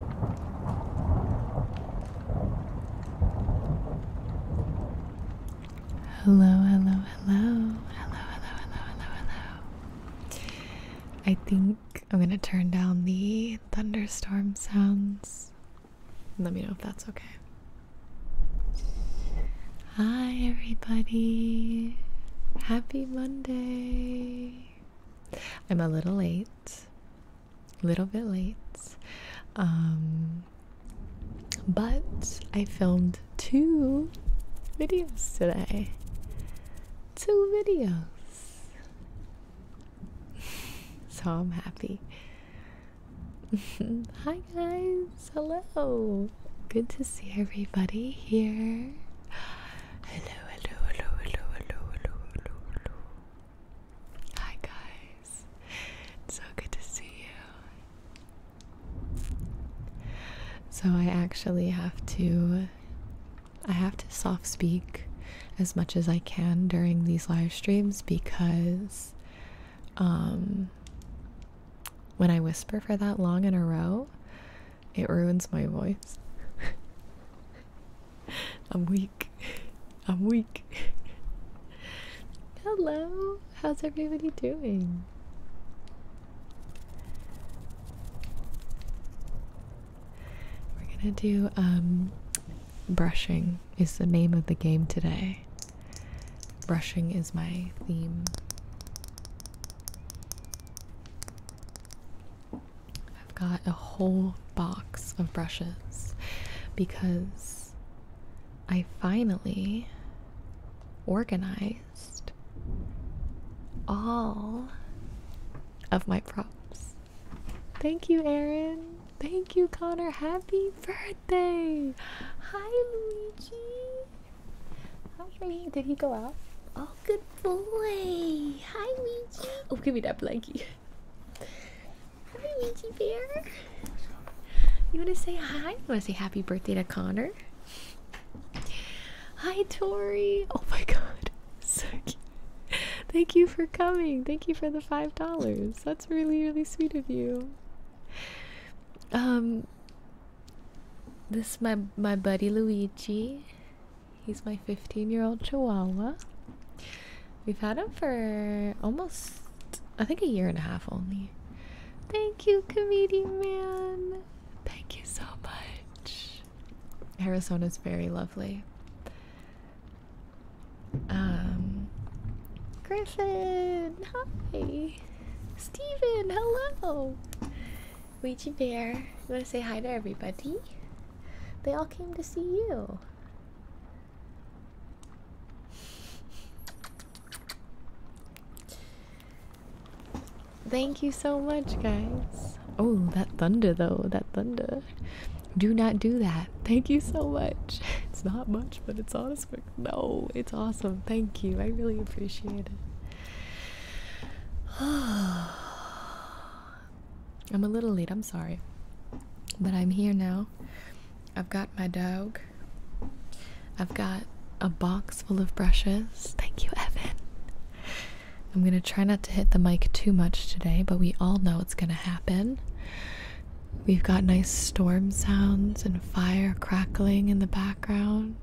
Hello, hello, hello, hello, hello, hello, hello, hello. I think I'm gonna turn down the thunderstorm sounds. Let me know if that's okay. Hi, everybody. Happy Monday. I'm a little late late, little bit late, um, but I filmed two videos today. Two videos, so I'm happy. Hi guys, hello. Good to see everybody here. Hello, hello, hello, hello, hello, hello, hello, hello. Hi guys. so good to see you. So I actually have to I have to soft speak as much as I can during these live streams because um when I whisper for that long in a row, it ruins my voice. I'm weak. I'm weak. Hello. How's everybody doing? We're gonna do um, brushing is the name of the game today. Brushing is my theme. I've got a whole box of brushes because I finally organized all of my props. Thank you, Aaron. Thank you, Connor. Happy birthday. Hi, Luigi. How's Luigi? Did he go out? Oh, good boy. Hi, Luigi. Oh, give me that blanket. Hi, Mickey Bear. You want to say hi? You want to say happy birthday to Connor? Hi, Tori. Oh my God, so cute. Thank you for coming. Thank you for the five dollars. That's really, really sweet of you. Um, this my my buddy Luigi. He's my 15 year old Chihuahua. We've had him for almost, I think, a year and a half only. Thank you, comedian man. Thank you so much. Arizona's very lovely. Um, Griffin, hi. Stephen, hello. Ouija Bear, you want to say hi to everybody? They all came to see you. Thank you so much, guys. Oh, that thunder, though. That thunder. Do not do that. Thank you so much. It's not much, but it's honest. No, it's awesome. Thank you. I really appreciate it. I'm a little late, I'm sorry. But I'm here now. I've got my dog. I've got a box full of brushes. Thank you, Evan. I'm going to try not to hit the mic too much today, but we all know it's going to happen. We've got nice storm sounds and fire crackling in the background.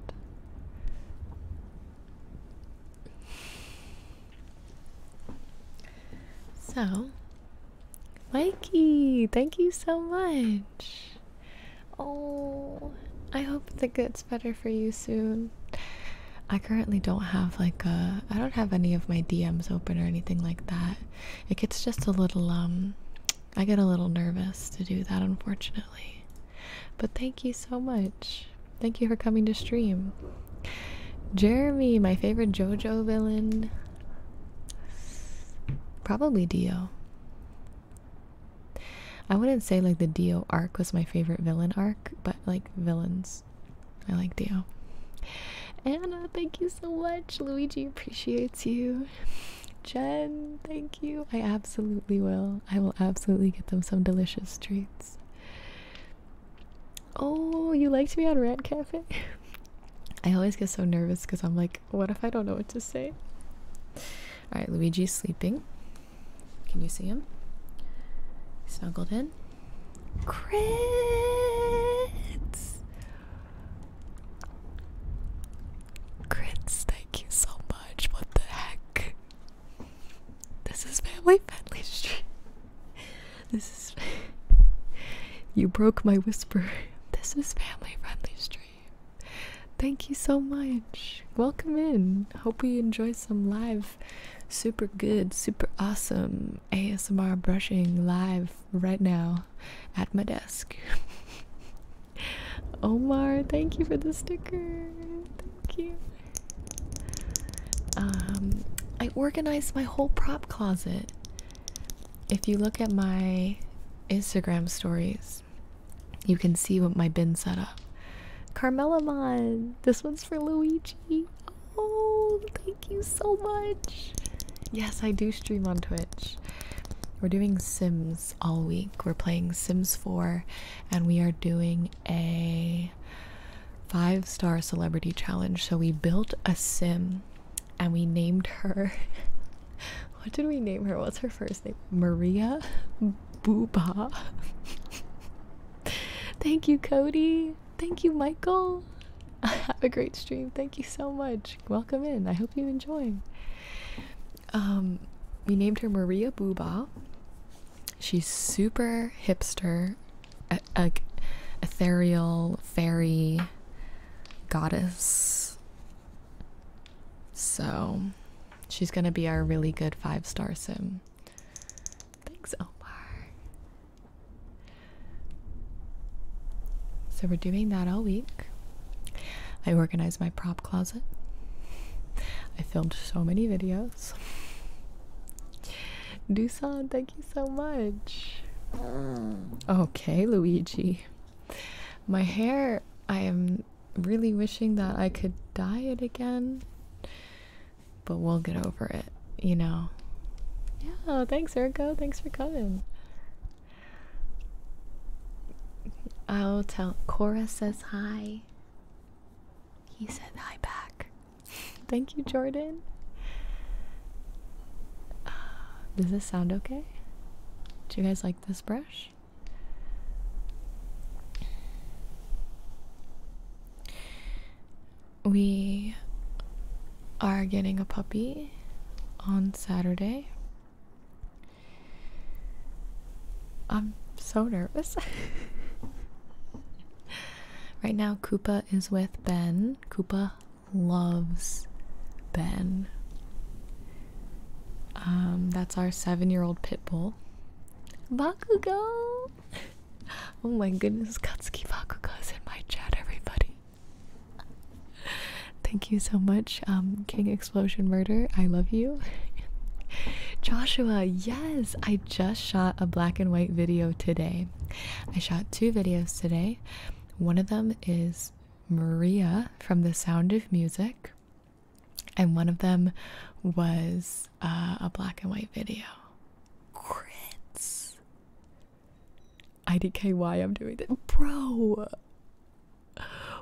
So, Mikey, thank you so much. Oh, I hope that gets better for you soon. I currently don't have like a I don't have any of my DMs open or anything like that. It gets just a little um I get a little nervous to do that unfortunately. But thank you so much. Thank you for coming to stream. Jeremy, my favorite JoJo villain. Probably Dio. I wouldn't say like the Dio arc was my favorite villain arc, but like villains. I like Dio. Anna, thank you so much. Luigi appreciates you. Jen, thank you. I absolutely will. I will absolutely get them some delicious treats. Oh, you liked me on Rant Cafe? I always get so nervous because I'm like, what if I don't know what to say? Alright, Luigi's sleeping. Can you see him? Snuggled in. Crits! Crits, thank you so much. What the heck? This is family friendly stream this is. you broke my whisper. This is family friendly stream. Thank you so much. Welcome in. Hope you enjoy some live, super good, super awesome ASMR brushing live right now at my desk. Omar, thank you for the sticker. Thank you. Um, I organized my whole prop closet. If you look at my Instagram stories, you can see what my bin set up. Carmelamon! This one's for Luigi. Oh, thank you so much. Yes, I do stream on Twitch. We're doing Sims all week. We're playing Sims 4 and we are doing a five star celebrity challenge. So we built a sim and we named her. what did we name her? What's her first name? Maria Booba. Thank you, Cody. Thank you, Michael. Have a great stream. Thank you so much. Welcome in. I hope you enjoy. Um, we named her Maria Booba. She's super hipster a, ethereal fairy goddess. So she's gonna be our really good five star sim. Thanks, Omar. So we're doing that all week. I organized my prop closet. I filmed so many videos. Dusan, thank Thank you so much. Mm. Okay, Luigi. My hair, I am really wishing that I could dye it again. But we'll get over it, you know. Yeah, thanks, Erko. Thanks for coming. I'll tell. Cora says hi. He said hi back. Thank you, Jordan. Uh, does this sound okay? Do you guys like this brush? We are getting a puppy on Saturday. I'm so nervous. right now, Koopa is with Ben. Koopa loves Ben. Um, that's our seven year old pit bull. Bakugo! Oh my goodness, Katsuki Bakugo is in my chat, everybody. Thank you so much, um, King Explosion Murder. I love you. Joshua, yes, I just shot a black and white video today. I shot two videos today. One of them is Maria from The Sound of Music, and one of them was uh, a black and white video. Crits. I didn't care why I'm doing this. Bro!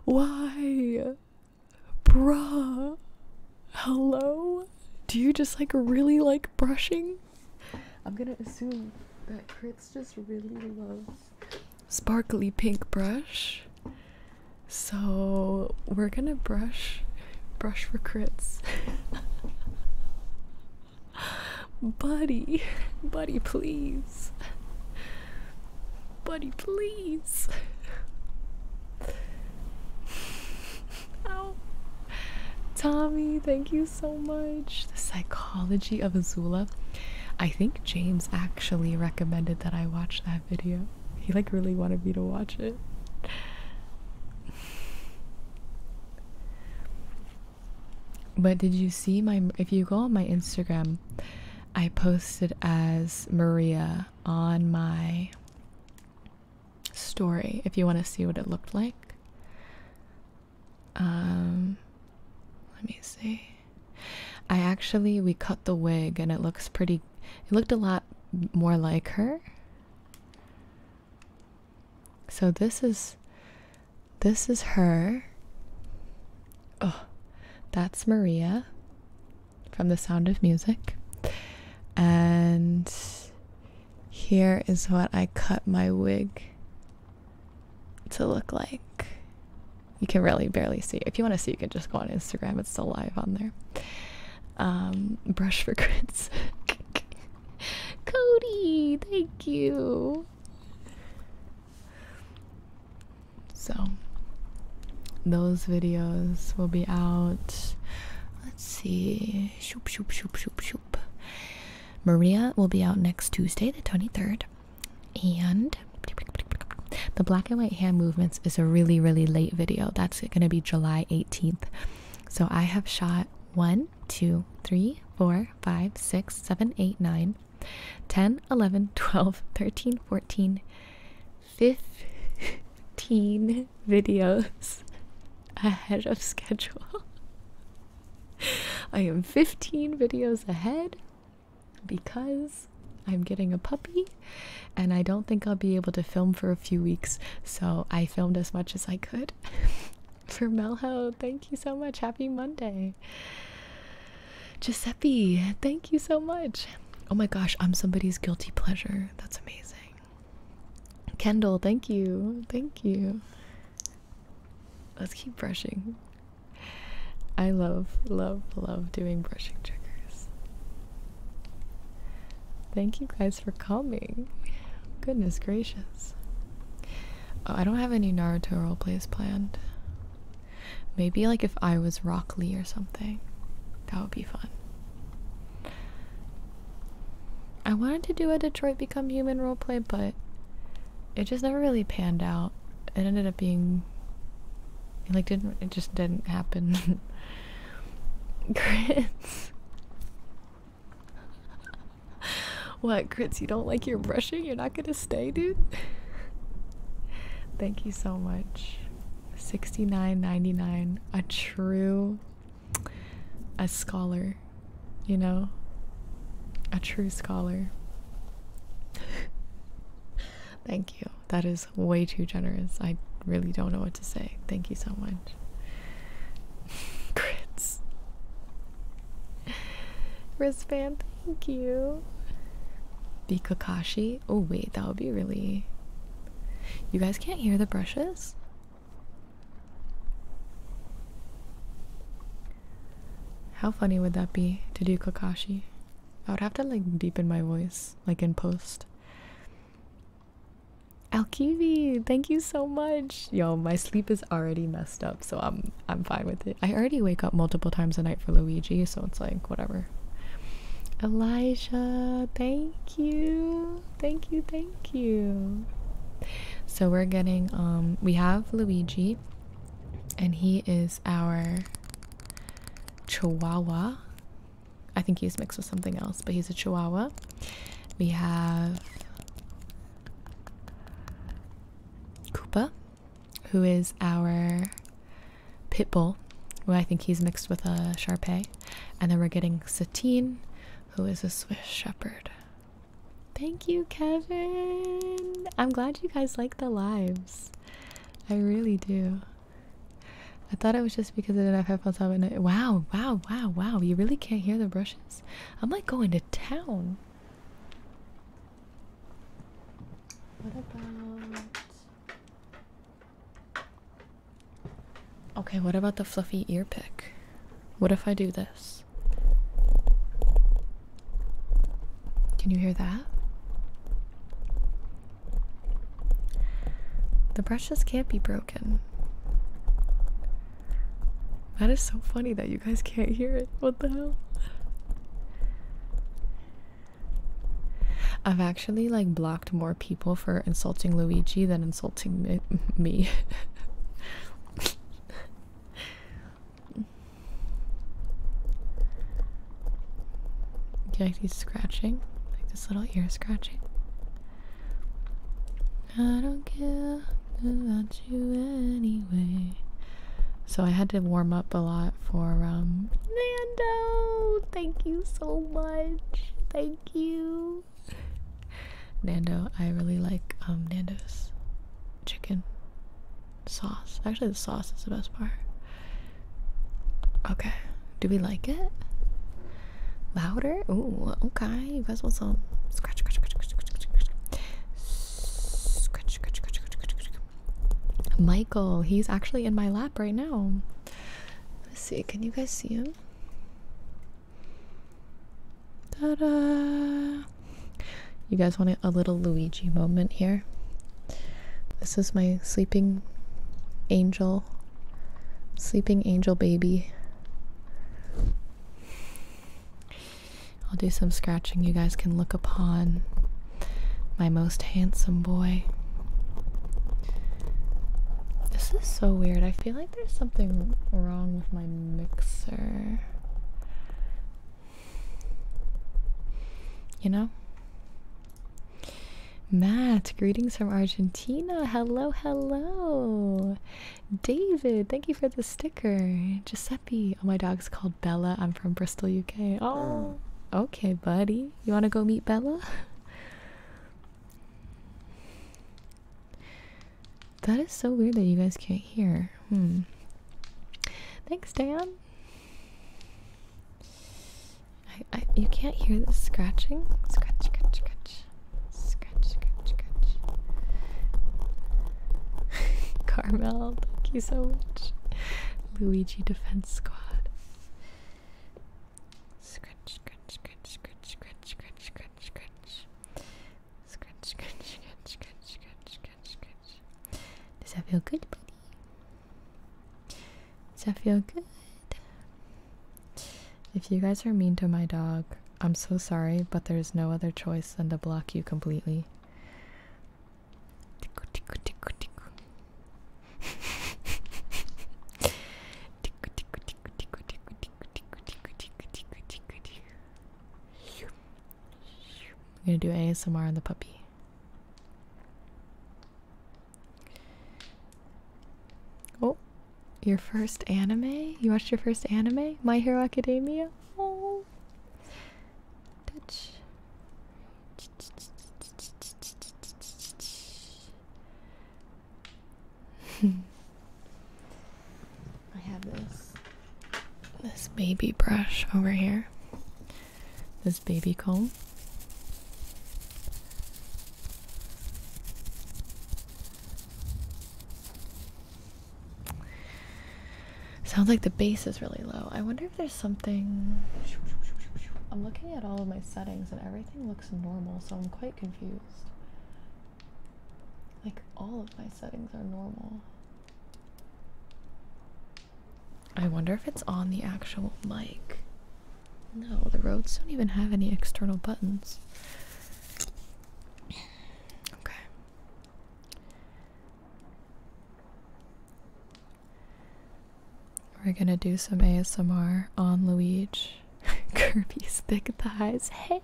Why? Bruh! Hello? Do you just like really like brushing? I'm gonna assume that Chris just really loves sparkly pink brush. So we're gonna brush brush for crits. buddy, buddy, please. Buddy, please. Ow. Tommy, thank you so much. The Psychology of Azula. I think James actually recommended that I watch that video. He like really wanted me to watch it. But did you see my if you go on my Instagram, I posted as Maria on my story if you want to see what it looked like. Um, let me see. I actually we cut the wig and it looks pretty. It looked a lot more like her. So this is this is her. Oh, that's Maria from The Sound of Music. And here is what I cut my wig to look like. You can really barely see. If you want to see, you can just go on Instagram. It's still live on there. Um, brush for grits. Cody, thank you. So, those videos will be out. Let's see. Maria will be out next Tuesday, the 23rd. And the black and white hand movements is a really, really late video. That's going to be July 18th. So I have shot 1, 2, 3, 4, 5, 6, 7, 8, 9, 10, 11, 12, 13, 14, 15 videos ahead of schedule. I am 15 videos ahead because I'm getting a puppy and I don't think I'll be able to film for a few weeks, so I filmed as much as I could. for Melho, thank you so much. Happy Monday. Giuseppe, thank you so much. Oh my gosh, I'm somebody's guilty pleasure. That's amazing. Kendall, thank you. Thank you. Let's keep brushing. I love, love, love doing brushing triggers. Thank you guys for coming. Goodness gracious. Oh, I don't have any Naruto role roleplays planned. Maybe like if I was Rock Lee or something. That would be fun. I wanted to do a Detroit Become Human role play, but it just never really panned out. It ended up being it like didn't it just didn't happen. Grits What Grits, you don't like your brushing? You're not gonna stay, dude? Thank you so much. 69.99 a true a scholar you know? A true scholar. Thank you. That is way too generous. I really don't know what to say. Thank you so much. Crits. Wristband, thank you. The Oh, wait, that would be really. You guys can't hear the brushes? How funny would that be to do Kakashi? I would have to like deepen my voice, like in post. Alkivi, thank you so much. Yo, my sleep is already messed up, so I'm I'm fine with it. I already wake up multiple times a night for Luigi, so it's like whatever. Elijah, thank you. Thank you, thank you. So we're getting um we have Luigi and he is our Chihuahua. I think he's mixed with something else, but he's a Chihuahua. We have Koopa, who is our Pitbull. who I think he's mixed with a Shar Pei, and then we're getting Satine, who is a Swiss Shepherd. Thank you, Kevin. I'm glad you guys like the lives. I really do. I thought it was just because of the not have headphones on. I, wow, wow, wow, wow. You really can't hear the brushes? I'm like going to town. What about. Okay, what about the fluffy ear pick? What if I do this? Can you hear that? The brushes can't be broken. That is so funny that you guys can't hear it. What the hell? I've actually like blocked more people for insulting Luigi than insulting me. Do you like these scratching? Like this little ear scratching? I don't care about you anyway. So I had to warm up a lot for um Nando. Thank you so much. Thank you. Nando, I really like um Nando's chicken sauce. Actually, the sauce is the best part. Okay, do we like it? Louder? Ooh, okay. You guys want some scratch, scratch, scratch, scratch, scratch, scratch, scratch, scratch, scratch, scratch. Michael, he's actually in my lap right now. Let's see. Can you guys see him? Ta-da! You guys want a little Luigi moment here? This is my sleeping angel, sleeping angel baby. I'll do some scratching. You guys can look upon my most handsome boy. This is so weird. I feel like there's something wrong with my mixer. You know? Matt, greetings from Argentina. Hello, hello. David, thank you for the sticker. Giuseppe, oh, my dog's called Bella. I'm from Bristol, UK. Oh, mm. okay, buddy. You want to go meet Bella? That is so weird that you guys can't hear. Hmm. Thanks, Dan. I, I, you can't hear this scratching. Scratch, scratch, scratch. Scratch, scratch, scratch. Carmel, thank you so much. Luigi Defense Squad. Scratch, scratch, scratch, scratch, scratch, scratch, scratch, scratch. Scratch, scratch, scratch, scratch, scratch, scratch, scratch. Does that feel good, buddy? Does that feel good? If you guys are mean to my dog, I'm so sorry, but there's no other choice than to block you completely. I'm going to do ASMR on the puppy. Oh, your first anime? You watched your first anime? My Hero Academia? Oh. I have this this baby brush over here. This baby comb. Sounds like the bass is really low. I wonder if there's something. I'm looking at all of my settings and everything looks normal, so I'm quite confused. Like, all of my settings are normal. I wonder if it's on the actual mic. No, the roads don't even have any external buttons. Okay. We're gonna do some ASMR on Luigi. Kirby's thick thighs. Hey,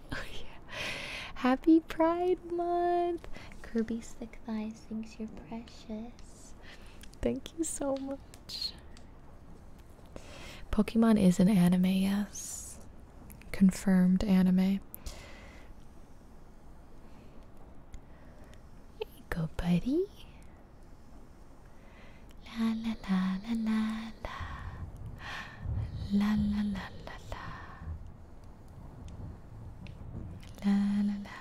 Happy Pride Month! Kirby's thick thighs guys thinks you're precious. Thank you so much. Pokemon is an anime, yes. Confirmed anime. There you go, buddy. La la la la la la. La la la la la. La la la.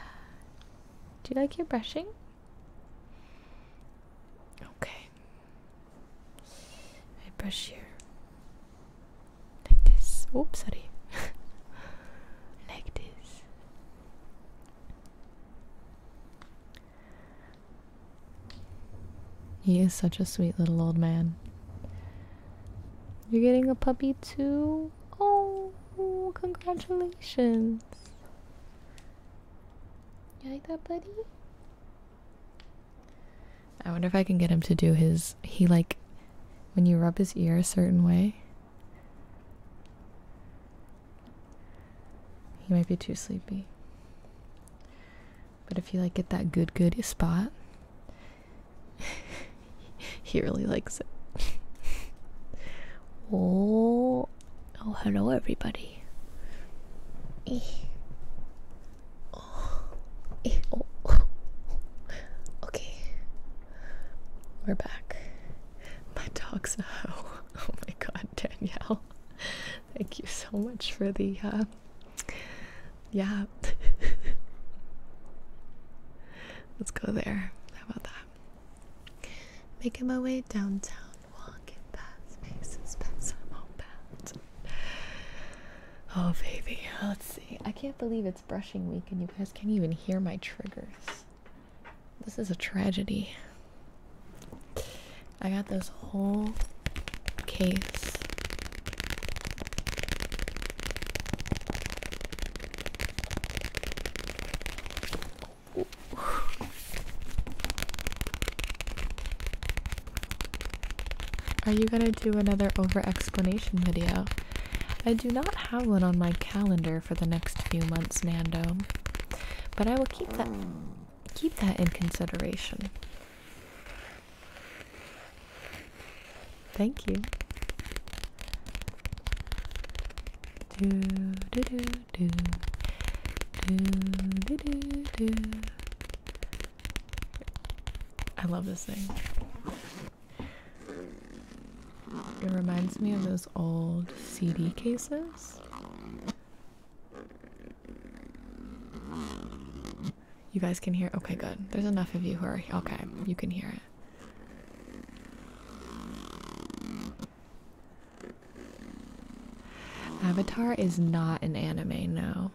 Do you like your brushing? Okay. I brush here. Like this. Oops, sorry. like this. He is such a sweet little old man. You're getting a puppy too? Oh, congratulations. You like that, buddy? I wonder if I can get him to do his. He like. When you rub his ear a certain way, he might be too sleepy. But if you like get that good, good spot, he really likes it. oh, oh, hello everybody. Oh. Oh. okay, we're back. My dog's a hoe. Oh my god, Danielle. Thank you so much for the uh yeah. Let's go there. How about that? Making my way downtown, walking past faces, past I'm Oh baby, let's see. I can't believe it's brushing week and you guys can't even hear my triggers. This is a tragedy. I got this whole case are you gonna do another over explanation video? I do not have one on my calendar for the next few months, Nando. But I will keep that keep that in consideration. Thank you. Do do do do do do do I love this thing. It reminds me of those old CD cases. You guys can hear? Okay, good. There's enough of you who are. Okay, you can hear it. Avatar is not an anime, no.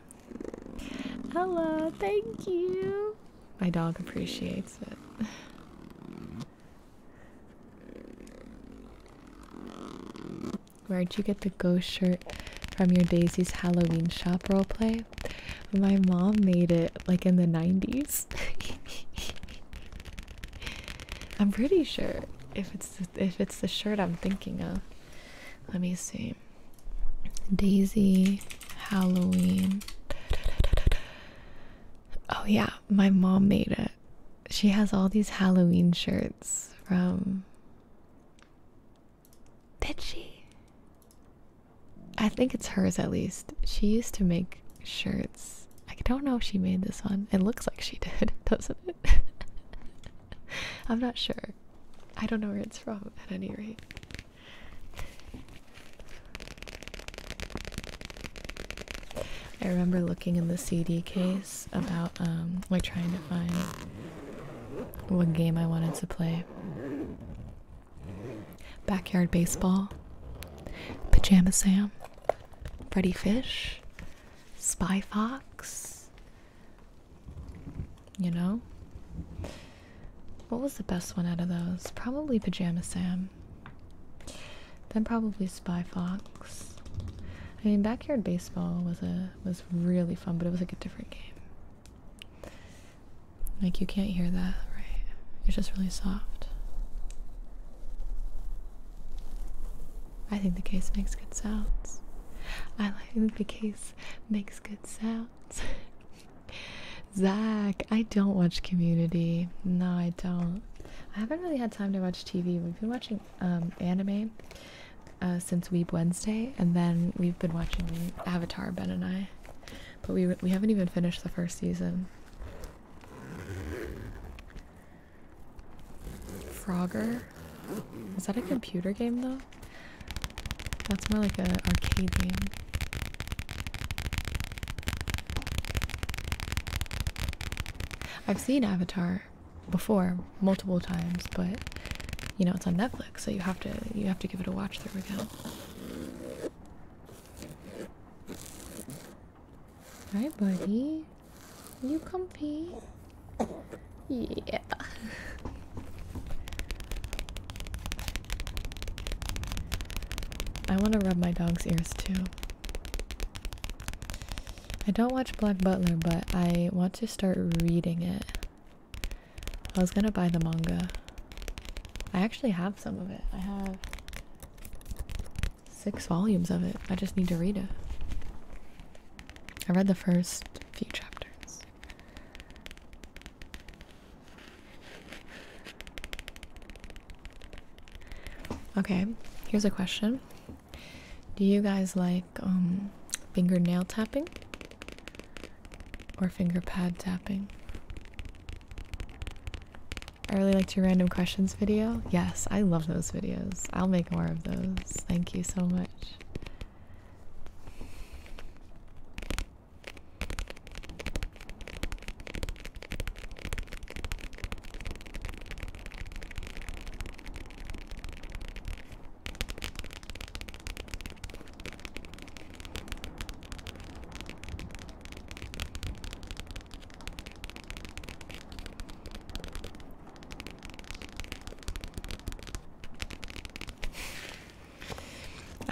Hello, thank you. My dog appreciates it. Where'd you get the ghost shirt from your Daisy's Halloween shop roleplay? My mom made it like in the 90s. I'm pretty sure if it's if it's the shirt I'm thinking of. Let me see. Daisy Halloween. Oh yeah, my mom made it. She has all these Halloween shirts from Did she? I think it's hers at least. She used to make shirts. I don't know if she made this one. It looks like she did, doesn't it? I'm not sure. I don't know where it's from at any rate. I remember looking in the CD case about um like trying to find what game I wanted to play. Backyard Baseball, Pajama Sam, Freddy Fish, Spy Fox. You know? What was the best one out of those? Probably Pajama Sam. Then probably Spy Fox. I mean, Backyard Baseball was a was really fun, but it was like a different game. Like you can't hear that, right? It's just really soft. I think the case makes good sounds. I like the case makes good sounds. Zach, I don't watch Community. No, I don't. I haven't really had time to watch TV. We've been watching um, anime uh, since Weeb Wednesday, and then we've been watching Avatar, Ben and I. But we, we haven't even finished the first season. Frogger? Is that a computer game though? That's more like an arcade game. I've seen Avatar before multiple times, but you know it's on Netflix, so you have to you have to give it a watch through again. Hi, buddy. You comfy? Yeah. I want to rub my dog's ears too. I don't watch Black Butler, but I want to start reading it. I was gonna buy the manga. I actually have some of it. I have six volumes of it. I just need to read it. I read the first few chapters. Okay, here's a question. Do you guys like um fingernail tapping or finger pad tapping? I really liked your random questions video. Yes, I love those videos. I'll make more of those. Thank you so much.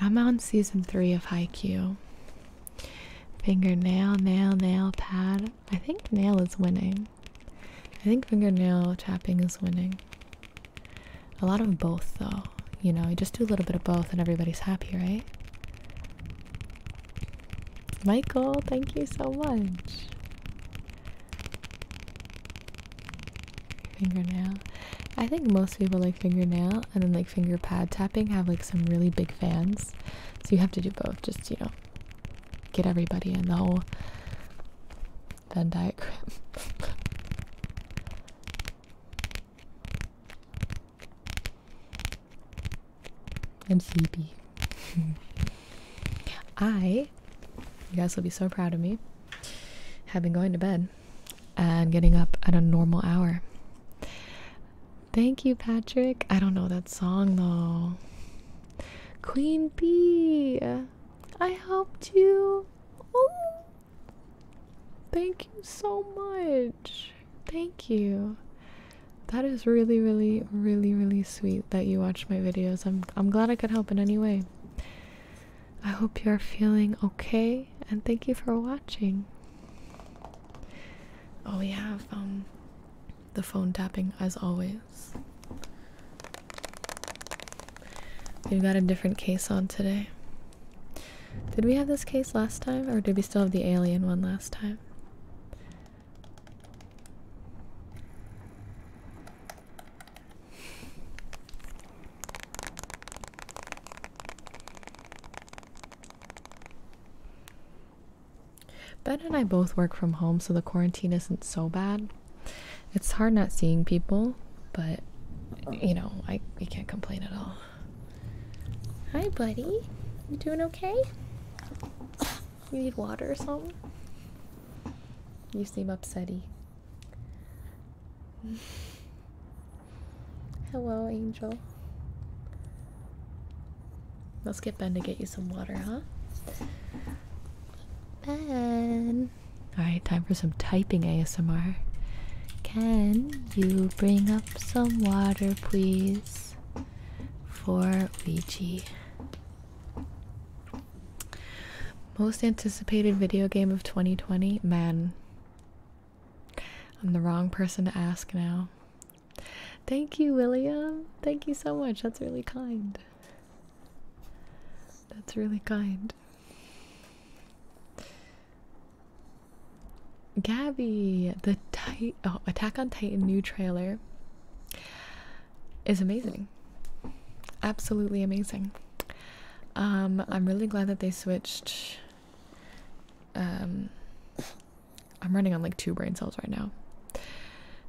I'm on season three of Haikyuu. Fingernail, nail, nail, pad. I think nail is winning. I think fingernail tapping is winning. A lot of both, though. You know, you just do a little bit of both and everybody's happy, right? Michael, thank you so much. Fingernail. I think most people like fingernail and then like finger pad tapping have like some really big fans. So you have to do both, just you know, get everybody in the whole Venn diagram. I'm sleepy. I, you guys will be so proud of me, have been going to bed and getting up at a normal hour. Thank you, Patrick. I don't know that song though. Queen Bee, I helped you. thank you so much. Thank you. That is really, really, really, really sweet that you watch my videos. I'm I'm glad I could help in any way. I hope you're feeling okay and thank you for watching. Oh, we have um the phone tapping as always. We've got a different case on today. Did we have this case last time or did we still have the alien one last time? Ben and I both work from home, so the quarantine isn't so bad. It's hard not seeing people, but you know, I we can't complain at all. Hi, buddy. You doing okay? You need water or something? You seem upsetty. Hello, Angel. Let's get Ben to get you some water, huh? Ben. Alright, time for some typing ASMR. Can you bring up some water, please? For Ouija. Most anticipated video game of 2020? Man. I'm the wrong person to ask now. Thank you, William. Thank you so much. That's really kind. That's really kind. Gabby, the oh, Attack on Titan new trailer is amazing. Absolutely amazing. Um, I'm really glad that they switched. Um, I'm running on like two brain cells right now.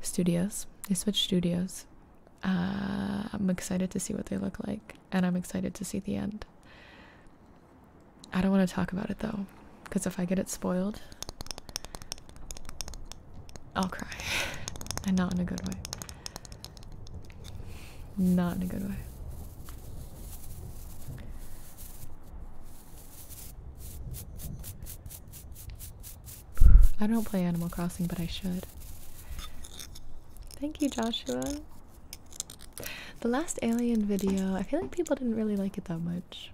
Studios. They switched studios. Uh, I'm excited to see what they look like, and I'm excited to see the end. I don't want to talk about it though, because if I get it spoiled, I'll cry. and not in a good way. Not in a good way. I don't play Animal Crossing, but I should. Thank you, Joshua. The last Alien video, I feel like people didn't really like it that much.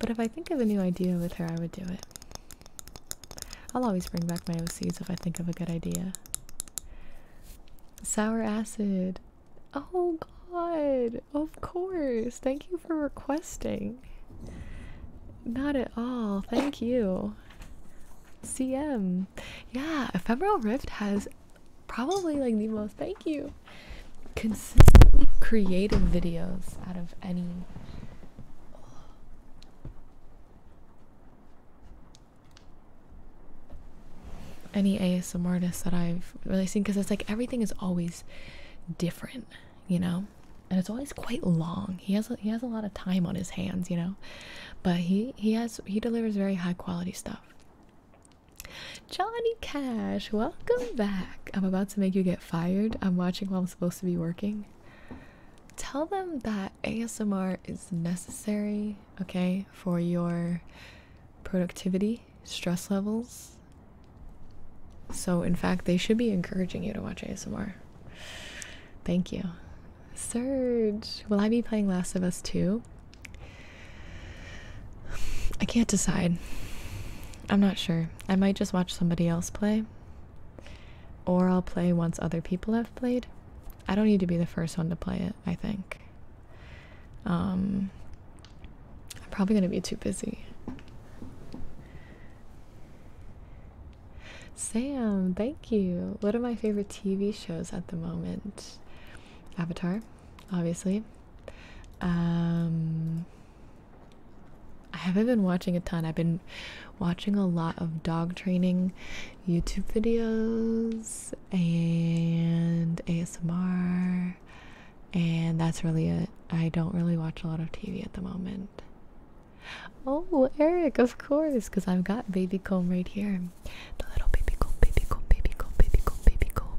But if I think of a new idea with her, I would do it. I'll always bring back my OCs if I think of a good idea. Sour acid. Oh god, of course. Thank you for requesting. Not at all. Thank you. CM. Yeah, Ephemeral Rift has probably like the most thank you consistently creative videos out of any any ASMR artist that I've really seen because it's like everything is always different, you know, and it's always quite long. He has he has a lot of time on his hands, you know, but he he has he delivers very high quality stuff. Johnny Cash, welcome back. I'm about to make you get fired. I'm watching while I'm supposed to be working. Tell them that ASMR is necessary, okay, for your productivity, stress levels. So, in fact, they should be encouraging you to watch ASMR. Thank you. Surge, will I be playing Last of Us too? I can't decide. I'm not sure. I might just watch somebody else play. Or I'll play once other people have played. I don't need to be the first one to play it, I think. Um, I'm probably going to be too busy. Sam, thank you. What are my favorite TV shows at the moment? Avatar obviously. Um, I haven't been watching a ton. I've been watching a lot of dog training YouTube videos and ASMR, and that's really it. I don't really watch a lot of TV at the moment. Oh, Eric, of course, because I've got baby comb right here. The little baby comb, baby comb, baby comb, baby comb, baby comb.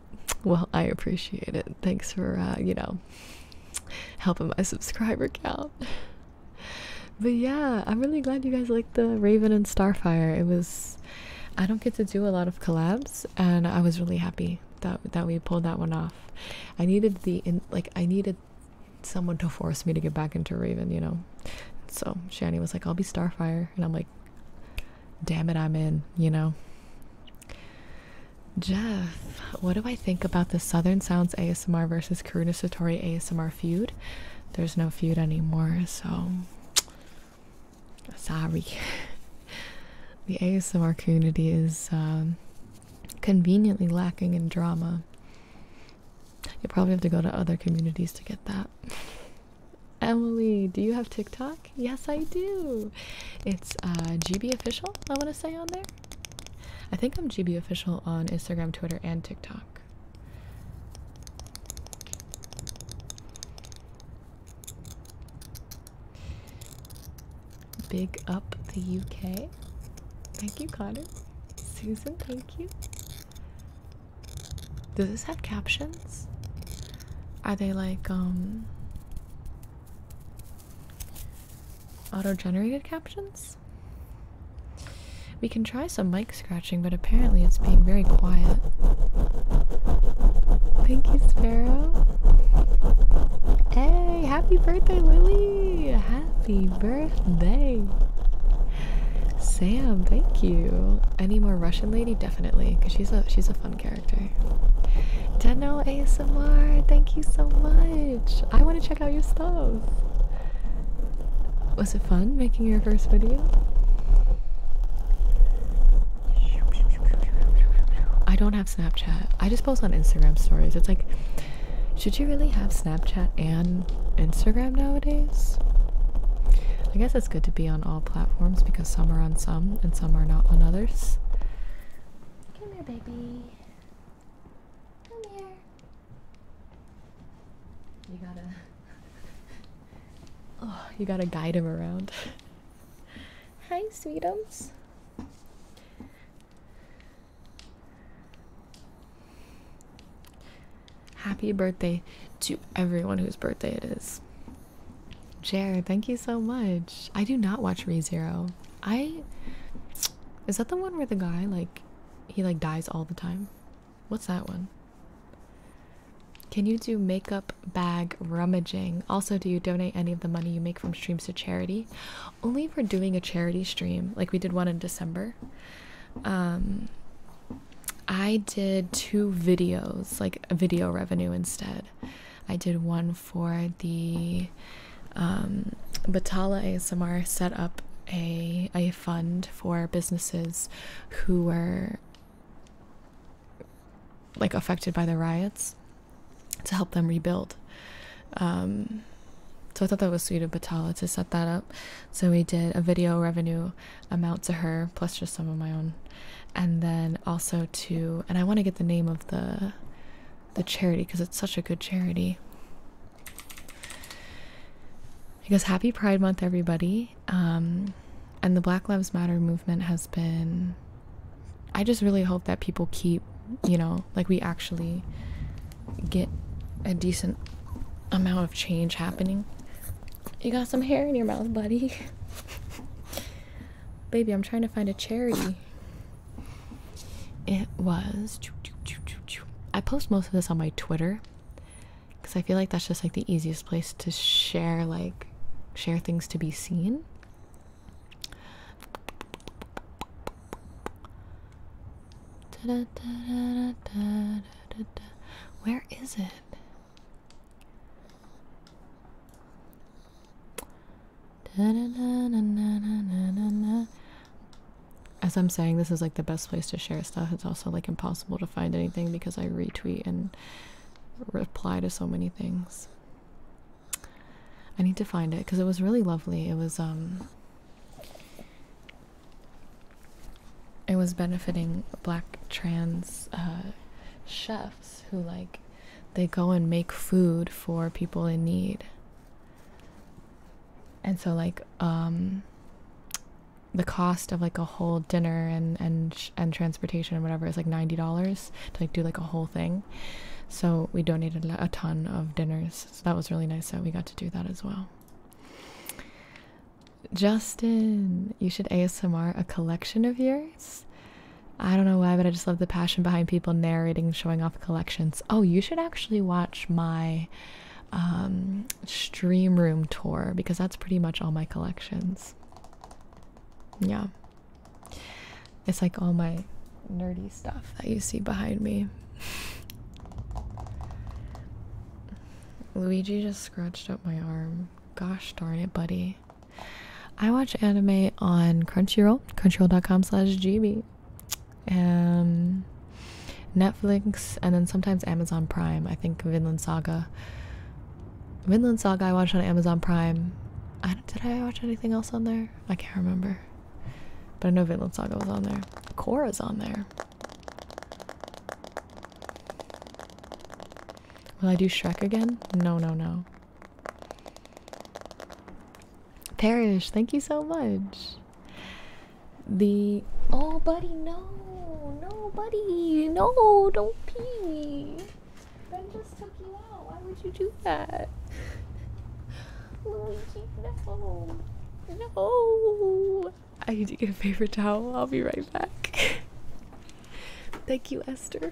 Well, I appreciate it. Thanks for, uh, you know, helping my subscriber count. But yeah, I'm really glad you guys liked the Raven and Starfire. It was, I don't get to do a lot of collabs, and I was really happy that that we pulled that one off. I needed the in like I needed someone to force me to get back into Raven, you know. So Shani was like, "I'll be Starfire," and I'm like, damn it, I'm in, you know. Jeff, what do I think about the Southern Sounds ASMR versus Karuna Satori ASMR feud? There's no feud anymore, so sorry. the ASMR community is um, conveniently lacking in drama. You probably have to go to other communities to get that. Emily, do you have TikTok? Yes, I do. It's uh, GB Official, I want to say, on there. I think I'm GB Official on Instagram, Twitter, and TikTok. Big up the UK. Thank you, Connor. Susan, thank you. Does this have captions? Are they like um, auto-generated captions? We can try some mic scratching, but apparently it's being very quiet. Thank you, Sparrow. Hey, happy birthday, Lily! Happy birthday! Sam, thank you. Any more Russian lady? Definitely, because she's a she's a fun character. Deno ASMR, thank you so much. I want to check out your stuff. Was it fun making your first video? I don't have Snapchat. I just post on Instagram stories. It's like, should you really have Snapchat and Instagram nowadays? I guess it's good to be on all all platforms because some are on some and some are not on others. Come here, baby. Come here. You gotta. oh, you gotta guide him around. Hi, sweetums. Happy birthday to everyone whose birthday it is. Jared, thank you so much. I do not watch ReZero. I is that the one where the guy like he like dies all the time? What's that one? Can you do makeup bag rummaging? Also, do you donate any of the money you make from streams to charity? Only if we're doing a charity stream, like we did one in December. Um I did two videos, like video revenue instead. I did one for the Batalla. Um, Batala set up a a fund for businesses who were like affected by the riots to help them rebuild. Um, so I thought that was sweet of Batalla to set that up. So we did a video revenue amount to her plus just some of my own and then also to and I want to get the name of the the charity because it's such a good charity. Because happy Pride Month, everybody. Um, and the Black Lives Matter movement has been. I just really hope that people keep, you know, like we actually get a decent amount of change happening. You got some hair in your mouth, buddy. Baby, I'm trying to find a charity. It was. I post most of this on my Twitter because I feel like that's just like the easiest place to share, like, share things to be seen. Where is it? As I'm saying, this is like the best place to share stuff. It's also like impossible to find anything because I retweet and reply to so many things. I need to find it because it was really lovely. It was um it was benefiting black trans uh chefs who like they go and make food for people in need and so like um, the cost of like a whole dinner and and and transportation and whatever is like $90 to like do like a whole thing so we donated a ton of dinners so that was really nice that we got to do that as well Justin, you should ASMR a collection of your I don't know why, but I just love the passion behind people narrating showing off collections. Oh, you should actually watch my um, stream room tour because that's pretty much all my collections. Yeah. It's like all my nerdy stuff that you see behind me. Luigi just scratched up my arm. Gosh darn it, buddy. I watch anime on Crunchyroll, crunchyroll.com slash GB, um, Netflix, and then sometimes Amazon Prime. I think Vinland Saga. Vinland Saga I watched on Amazon Prime. did I watch anything else on there? I can't remember. But I know Vinland Saga was on there. Cora's on there. Will I do Shrek again? No, no, no. Perish, thank you so much. The oh, buddy, no, no, buddy, no, don't pee. Ben just took you out. Why would you do that? Luigi, no, no. I need to get a paper towel. I'll be right back. Thank you, Esther.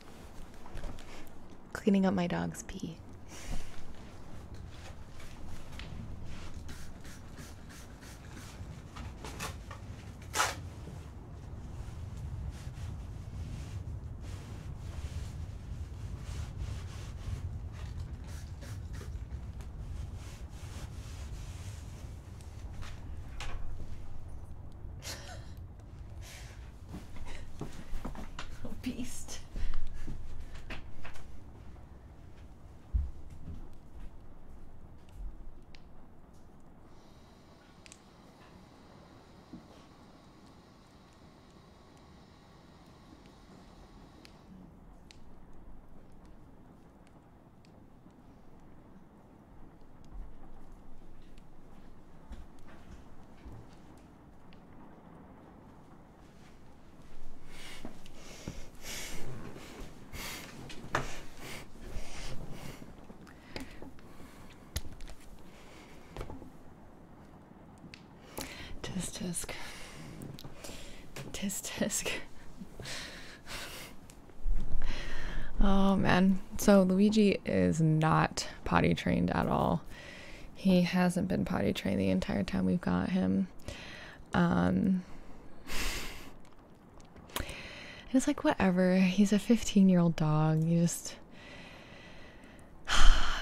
Cleaning up my dog's pee. a beast. Test. tisk. Test. tisk. Oh man. So Luigi is not potty trained at all. He hasn't been potty trained the entire time we've got him. Um and it's like whatever. He's a 15-year-old dog. You just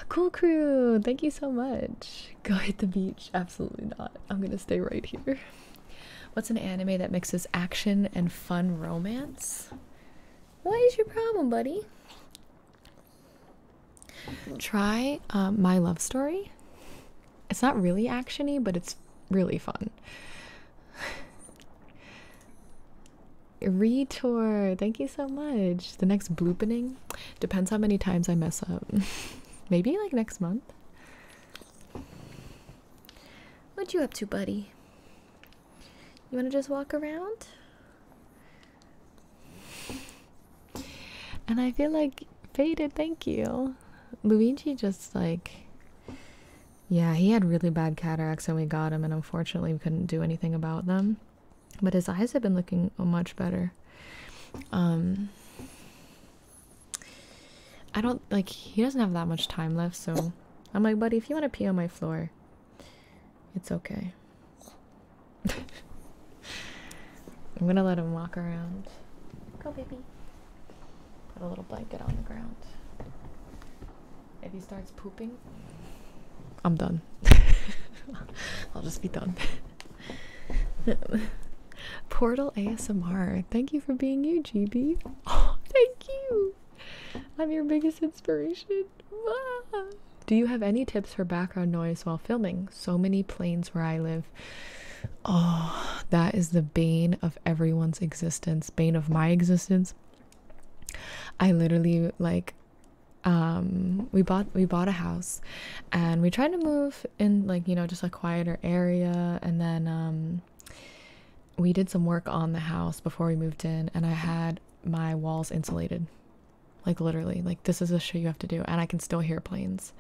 Cool crew. Thank you so much. Go hit the beach. Absolutely not. I'm going to stay right here. What's an anime that mixes action and fun romance? What is your problem, buddy? Try uh, My Love Story. It's not really actiony, but it's really fun. Retour, thank you so much. The next blooping depends how many times I mess up. Maybe like next month. What you up to, buddy? You want to just walk around? And I feel like faded, thank you. Luigi just like yeah, he had really bad cataracts and we got him and unfortunately we couldn't do anything about them. But his eyes have been looking much better. Um I don't like he doesn't have that much time left, so I'm like, buddy, if you want to pee on my floor, it's okay. I'm gonna let him walk around. Go, baby. Put a little blanket on the ground. If he starts pooping, I'm done. I'll just be done. Portal ASMR. Thank you for being you, GB. thank you. I'm your biggest inspiration. Do you have any tips for background noise while filming? So many planes where I live. Oh, that is the bane of everyone's existence, bane of my existence. I literally like um, we bought we bought a house and we tried to move in like you know just a quieter area and then um we did some work on the house before we moved in, and I had my walls insulated. Like, literally, like, this is a show you have to do, and I can still hear planes.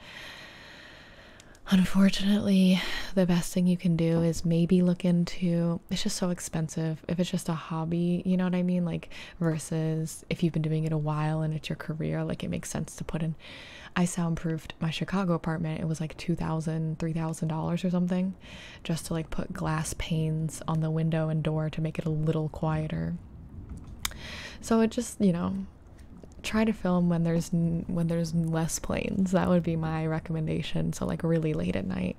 Unfortunately, the best thing you can do is maybe look into it's just so expensive if it's just a hobby, you know what I mean? Like, versus if you've been doing it a while and it's your career, like, it makes sense to put in. I soundproofed my Chicago apartment, it was like $2,000, $3,000 or something just to like put glass panes on the window and door to make it a little quieter. So it just, you know, try to film when there's when there's less planes. That would be my recommendation. So like really late at night.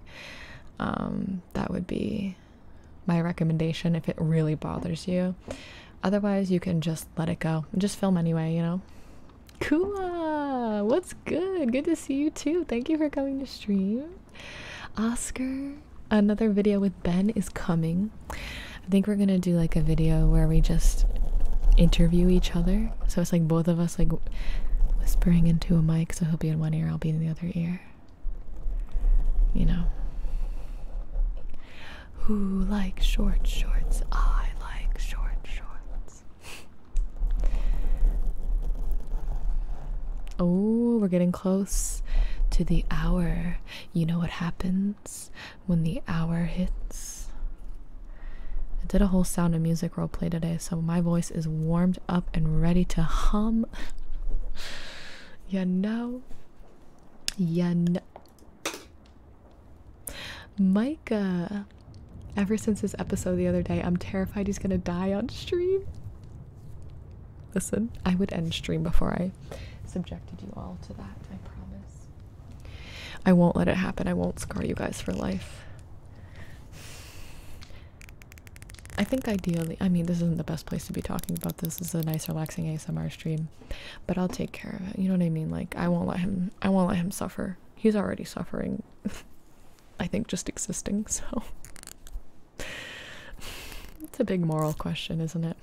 Um that would be my recommendation if it really bothers you. Otherwise, you can just let it go. Just film anyway, you know. Kula, what's good? Good to see you too. Thank you for coming to stream. Oscar, another video with Ben is coming. I think we're gonna do like a video where we just interview each other. So it's like both of us like whispering into a mic. So he'll be in one ear, I'll be in the other ear. You know. Who likes short shorts? I like short shorts. Oh, we're getting close to the hour. You know what happens when the hour hits? I did a whole sound and music roleplay today, so my voice is warmed up and ready to hum. you know? You know? Micah! Ever since this episode the other day, I'm terrified he's gonna die on stream. Listen, I would end stream before I subjected you all to that, I promise. I won't let it happen. I won't scar you guys for life. I think ideally, I mean, this isn't the best place to be talking about this. This is a nice, relaxing ASMR stream, but I'll take care of it. You know what I mean? Like, I won't let him, I won't let him suffer. He's already suffering. I think, just existing, so. it's a big moral question, isn't it?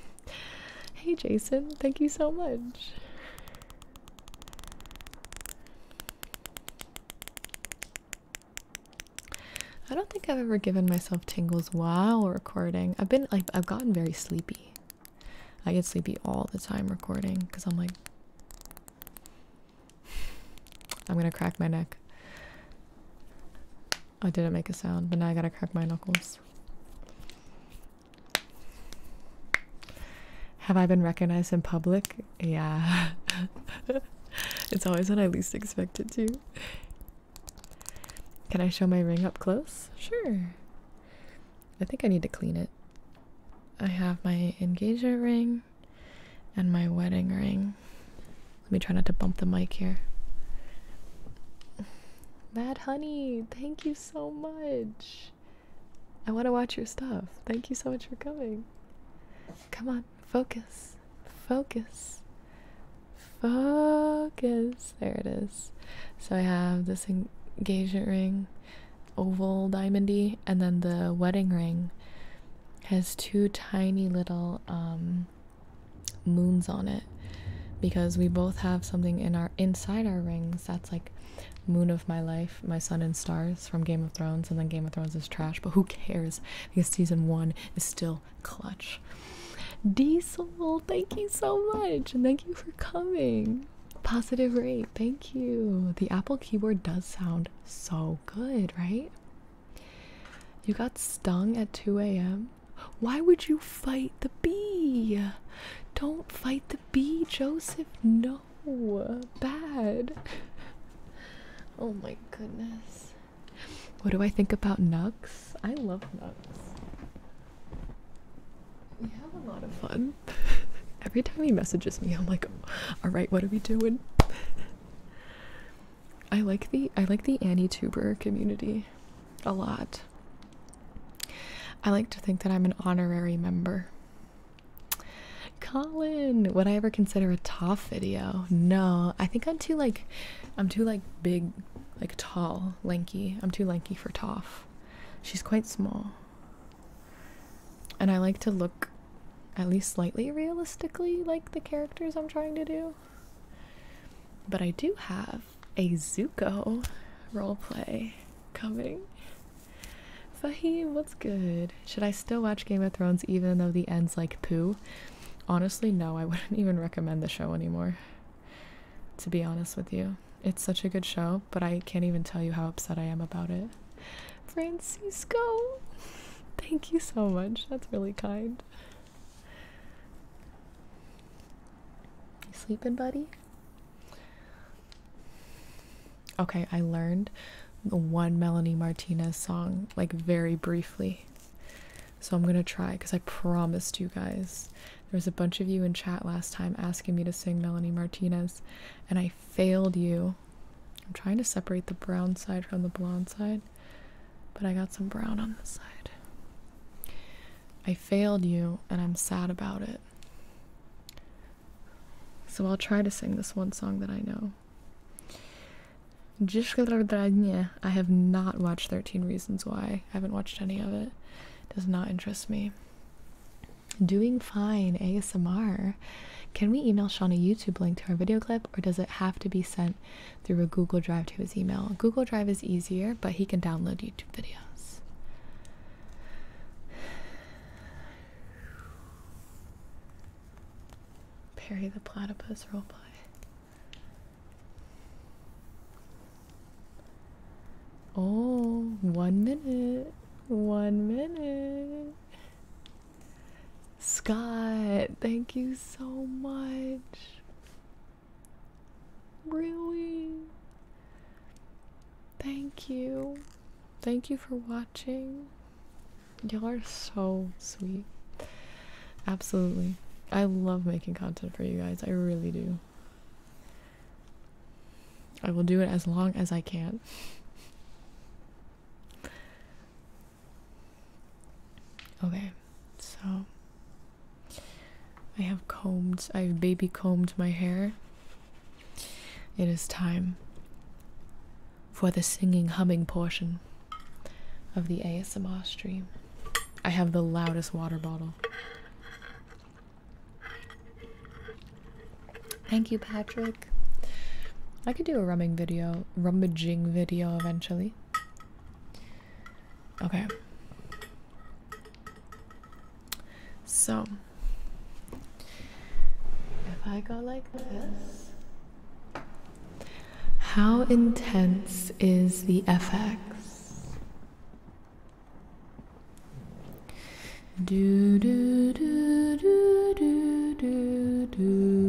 Hey, Jason, thank you so much. I don't think I've ever given myself tingles while recording. I've been like I've gotten very sleepy. I get sleepy all the time recording because I'm like I'm gonna crack my neck. I didn't make a sound, but now I gotta crack my knuckles. Have I been recognized in public? Yeah. it's always when I least expect it to. Can I show my ring up close? Sure. I think I need to clean it. I have my engagement ring and my wedding ring. Let me try not to bump the mic here. Mad Honey, thank you so much. I want to watch your stuff. Thank you so much for coming. Come on, focus, focus, focus. There it is. So I have this engagement ring, oval diamondy, and then the wedding ring has two tiny little um, moons on it because we both have something in our inside our rings that's like moon of my life my sun and stars from game of thrones and then game of thrones is trash but who cares because season one is still clutch diesel thank you so much and thank you for coming positive rate thank you the apple keyboard does sound so good right you got stung at 2 a.m. Why would you fight the bee? Don't fight the bee, Joseph. No, bad. Oh my goodness. What do I think about Nux? I love Nux. We have a lot of fun. Every time he messages me, I'm like, all right, what are we doing? I like the I like the Annie Tuber community a lot. I like to think that I'm an honorary member. Colin, would I ever consider a toff video? No, I think I'm too like, I'm too like big, like tall, lanky. I'm too lanky for toff. She's quite small. And I like to look at least slightly realistically like the characters I'm trying to do. But I do have a Zuko role play coming. Fahim, what's good? Should I still watch Game of Thrones even though the end's like poo? Honestly, no, I wouldn't even recommend the show anymore. To be honest with you, it's such a good show, but I can't even tell you how upset I am about it. Francisco! Thank you so much. That's really kind. You sleeping, buddy? Okay, I learned the one Melanie Martinez song like very briefly. So I'm gonna try because I promised you guys. There was a bunch of you in chat last time asking me to sing Melanie Martinez, and I failed you. I'm trying to separate the brown side from the blonde side but I got some brown on the side. I failed you, and I'm sad about it. So I'll try to sing this one song that I know. I have not watched 13 Reasons Why. I haven't watched any of it. Does not interest me. Doing fine, ASMR. Can we email Sean a YouTube link to our video clip, or does it have to be sent through a Google Drive to his email. Google Drive is easier, but he can download YouTube videos. Perry the Platypus roleplay. Oh, one minute. One minute. Scott, thank you so much. Really? Thank you. Thank you for watching. Y'all are so sweet. Absolutely. I love making content for you guys. I really do. I will do it as long as I can. Okay, so I have combed, I've baby combed my hair. It is time for the singing, humming portion of the ASMR stream. I have the loudest water bottle. Thank you, Patrick. I could do a rumming video, rummaging video eventually. Okay. So, if I go like this, how intense is the FX? Do, do, do, do, do, do, do.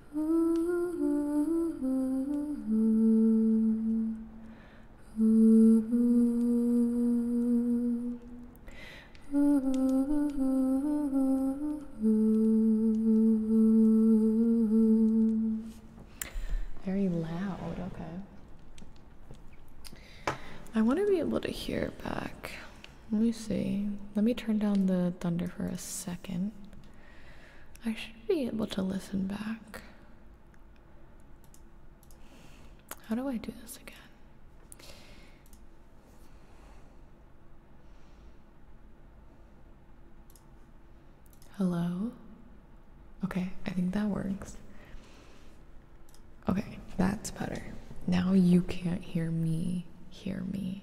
very loud, okay. I want to be able to hear back. Let me see. Let me turn down the thunder for a second. I should be able to listen back. How do I do this again? Hello? Okay, I think that works. Okay, that's better. Now you can't hear me. Hear me.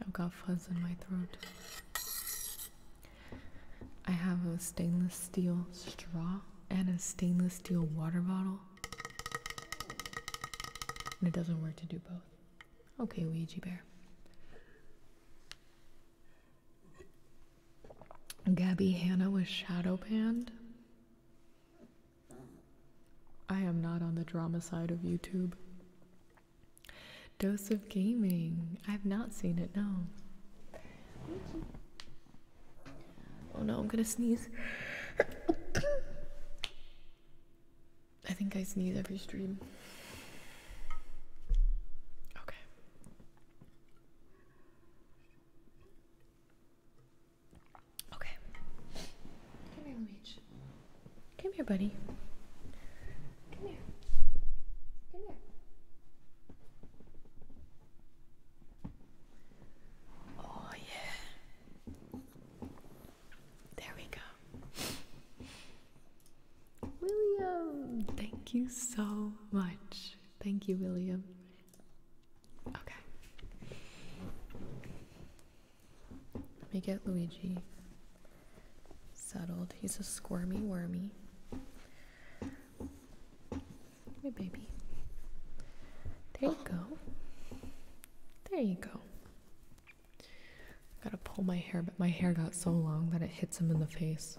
I've got fuzz in my throat. I have a stainless steel straw and a stainless steel water bottle. And it doesn't work to do both. Okay, Ouija Bear. Gabby Hannah was shadow banned. I am not on the drama side of YouTube. Dose of Gaming. I've not seen it, no. Oh no, I'm gonna sneeze. I think I sneeze every stream. Okay. Okay. Come here, buddy. Come here. Oh, yeah. There we go. William, thank you so much. Thank you, William. Okay. Let me get Luigi settled. He's a squirmy wormy. Hey, baby. There you go. There you go. I gotta pull my hair, but my hair got so long that it hits him in the face.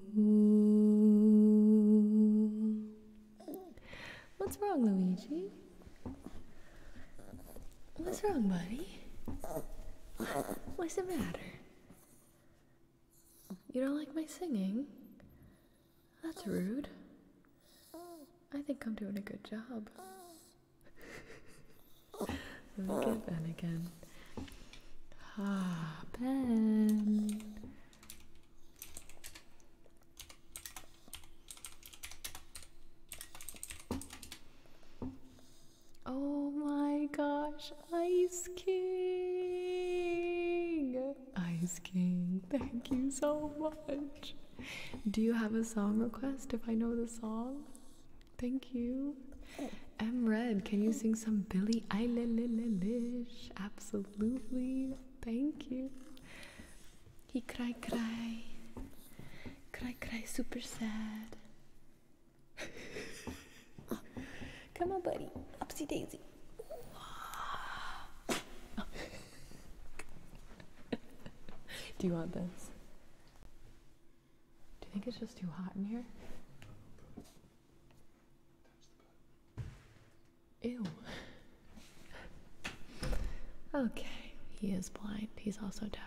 What's wrong, Luigi? What's wrong, buddy? What's the matter? You don't like my singing? That's rude. I think I'm doing a good job. Let me Ben again. Ah, Ben. Oh my gosh, Ice King! Ice King, thank you so much. Do you have a song request if I know the song? Thank you. Oh. M Red, can you sing some Billie Eilish? Absolutely. Absolutely. Thank you. He cry cry. Cry cry super sad. Come on buddy. Upsy daisy. Do you want this? Do you think it's just too hot in here? Ew. Okay, he is blind. He's also deaf.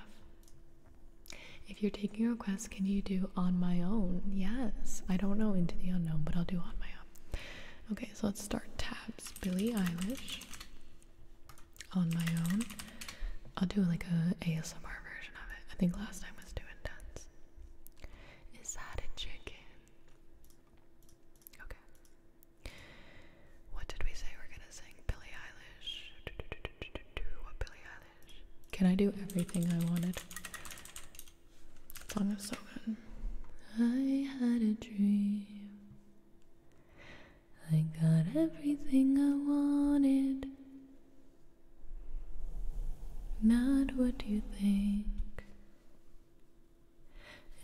If you're taking requests, can you do on my own? Yes. I don't know Into the Unknown, but I'll do on my own. Okay, so let's start tabs. Billie Eilish. On my own. I'll do like a ASMR version of it. I think last time was too intense. Is that a chicken? Okay. What did we say we're gonna sing? Billie Eilish. What Billie Eilish? Can I do everything I wanted? song is so good. I had a dream. I got everything I wanted. Not what you think.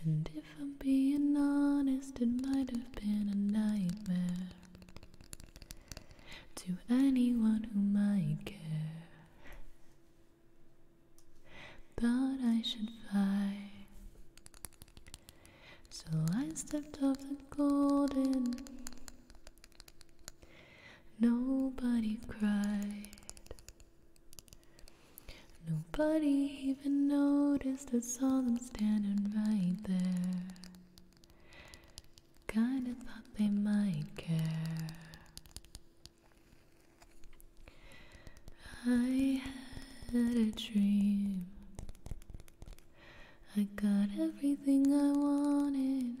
And if I'm being honest, it might have been a nightmare to anyone who might care. Thought I should fly, so I stepped off the golden. Nobody cried. Nobody even noticed, I saw them standing right there. Kinda thought they might care. I had a dream. I got everything I wanted.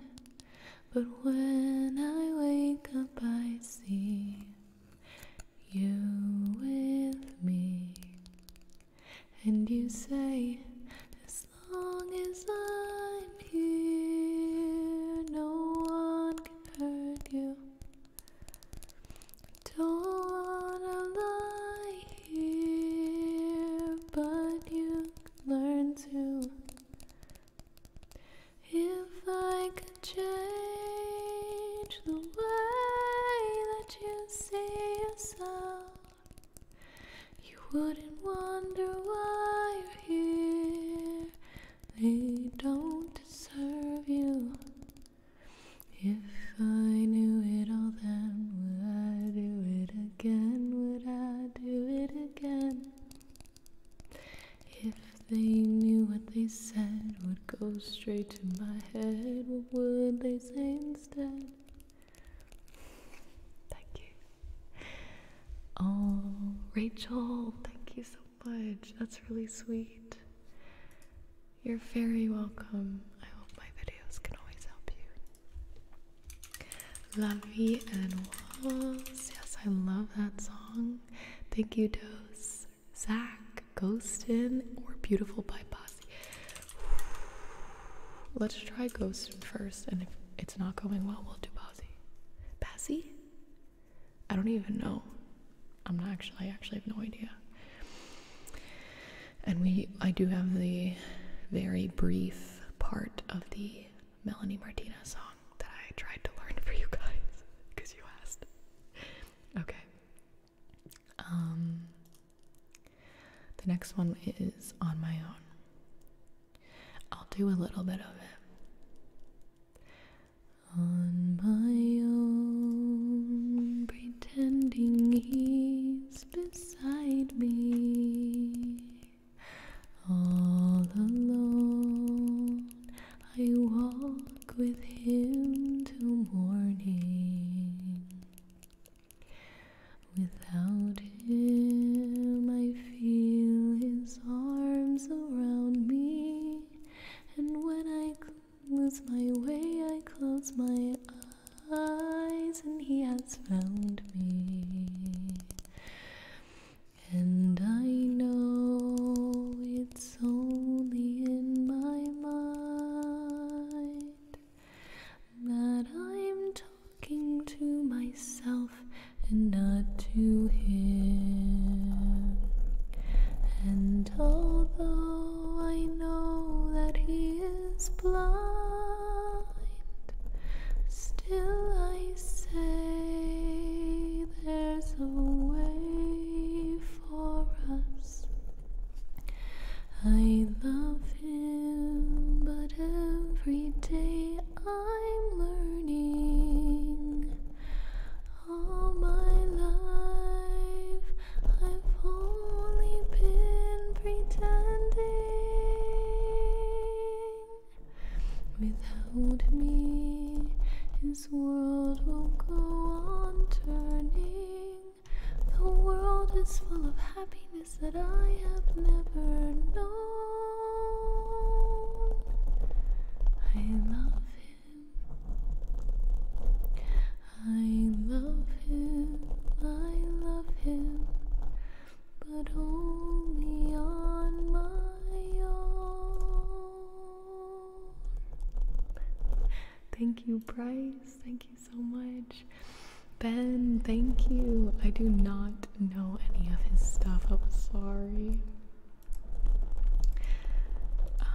But when I wake up, I see you with me. And you say, as long as I'm here, no one can hurt you. Don't wanna lie here, but you learn to if I could change the way that you see yourself, you wouldn't wonder why you're here. They don't deserve you. If I knew it all, then would I do it again? Would I do it again? If they knew what they said would go straight to my head, what would they say instead? Thank you. Oh, Rachel, thank you so much. That's really sweet. You're very welcome. I hope my videos can always help you. La Vie and Walls. Yes, I love that song. Thank you, Dose, Zach, Ghostin, or Beautiful by Bossy. Let's try Ghostin first, and if it's not going well, we'll do Bossy. Bossy? I don't even know. I'm not actually, I actually have no idea. And we, I do have the very brief part of the Melanie Martinez song that I tried to learn for you guys because you asked. Okay. Um, the next one is on my own. I'll do a little bit of it. On my own, pretending he's beside me. All alone, I walk with him till morning. Without him, I feel his arms around me, and when I lose my way, I close my eyes, and he has found me. And I know it's only in my mind that I'm talking to myself and not to him. And although I know that he is blind, still I say there's a way for us. I love him, but every day I'm learning. All my life, I've only been pretending. Without me, this world will go on turning. The world is full of happiness that I have never known. I love him. I love him. I love him. But only on my own. Thank you, Bryce. Thank you so much. Ben, thank you. I do not know any of his stuff. I'm sorry.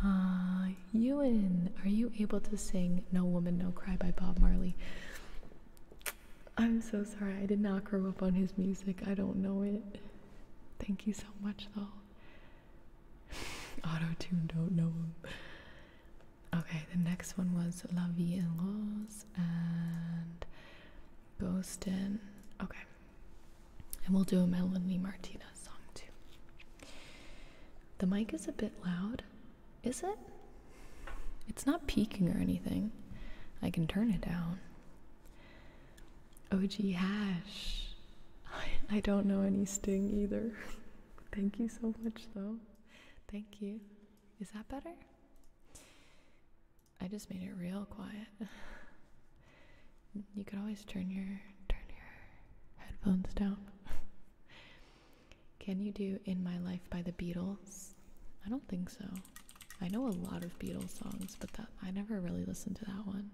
Uh, Ewan, are you able to sing No Woman, No Cry by Bob Marley? I'm so sorry. I did not grow up on his music. I don't know it. Thank you so much, though. Auto tune, don't know Okay, the next one was La Vie en Rose and Ghost in. Okay, and we'll do a Melanie Martinez song too. The mic is a bit loud, is it? It's not peaking or anything. I can turn it down. OG hash. I, I don't know any sting either. Thank you so much, though. Thank you. Is that better? I just made it real quiet. you could always turn your turn your headphones down. Can you do In My Life by the Beatles? I don't think so. I know a lot of Beatles songs, but that I never really listened to that one.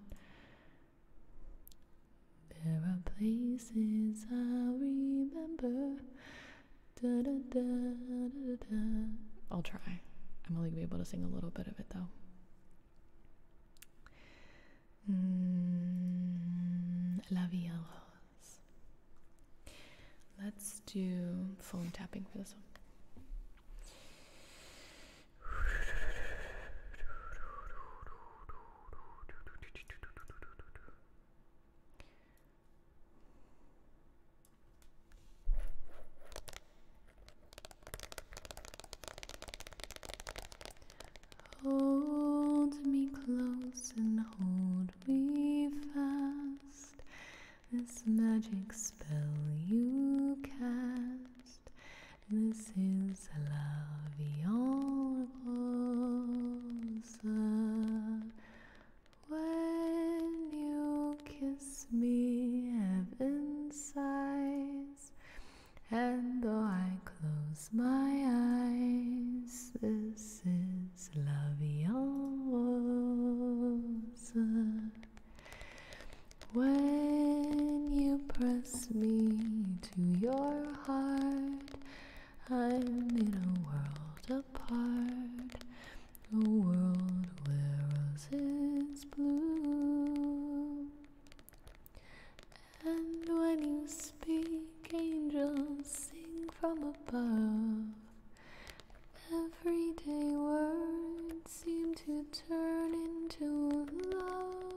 There are places I'll remember. I'll try. I'm only gonna be able to sing a little bit of it though. Mm, la Vie Let's do phone tapping for this one. Hold me close and hold me fast. This magic spell you cast this is love When you kiss me, heaven sighs. And though I close my eyes, this is love when you press me to your heart, I'm in a world apart, a world where roses bloom. And when you speak, angels sing from above. Everyday words seem to turn into love.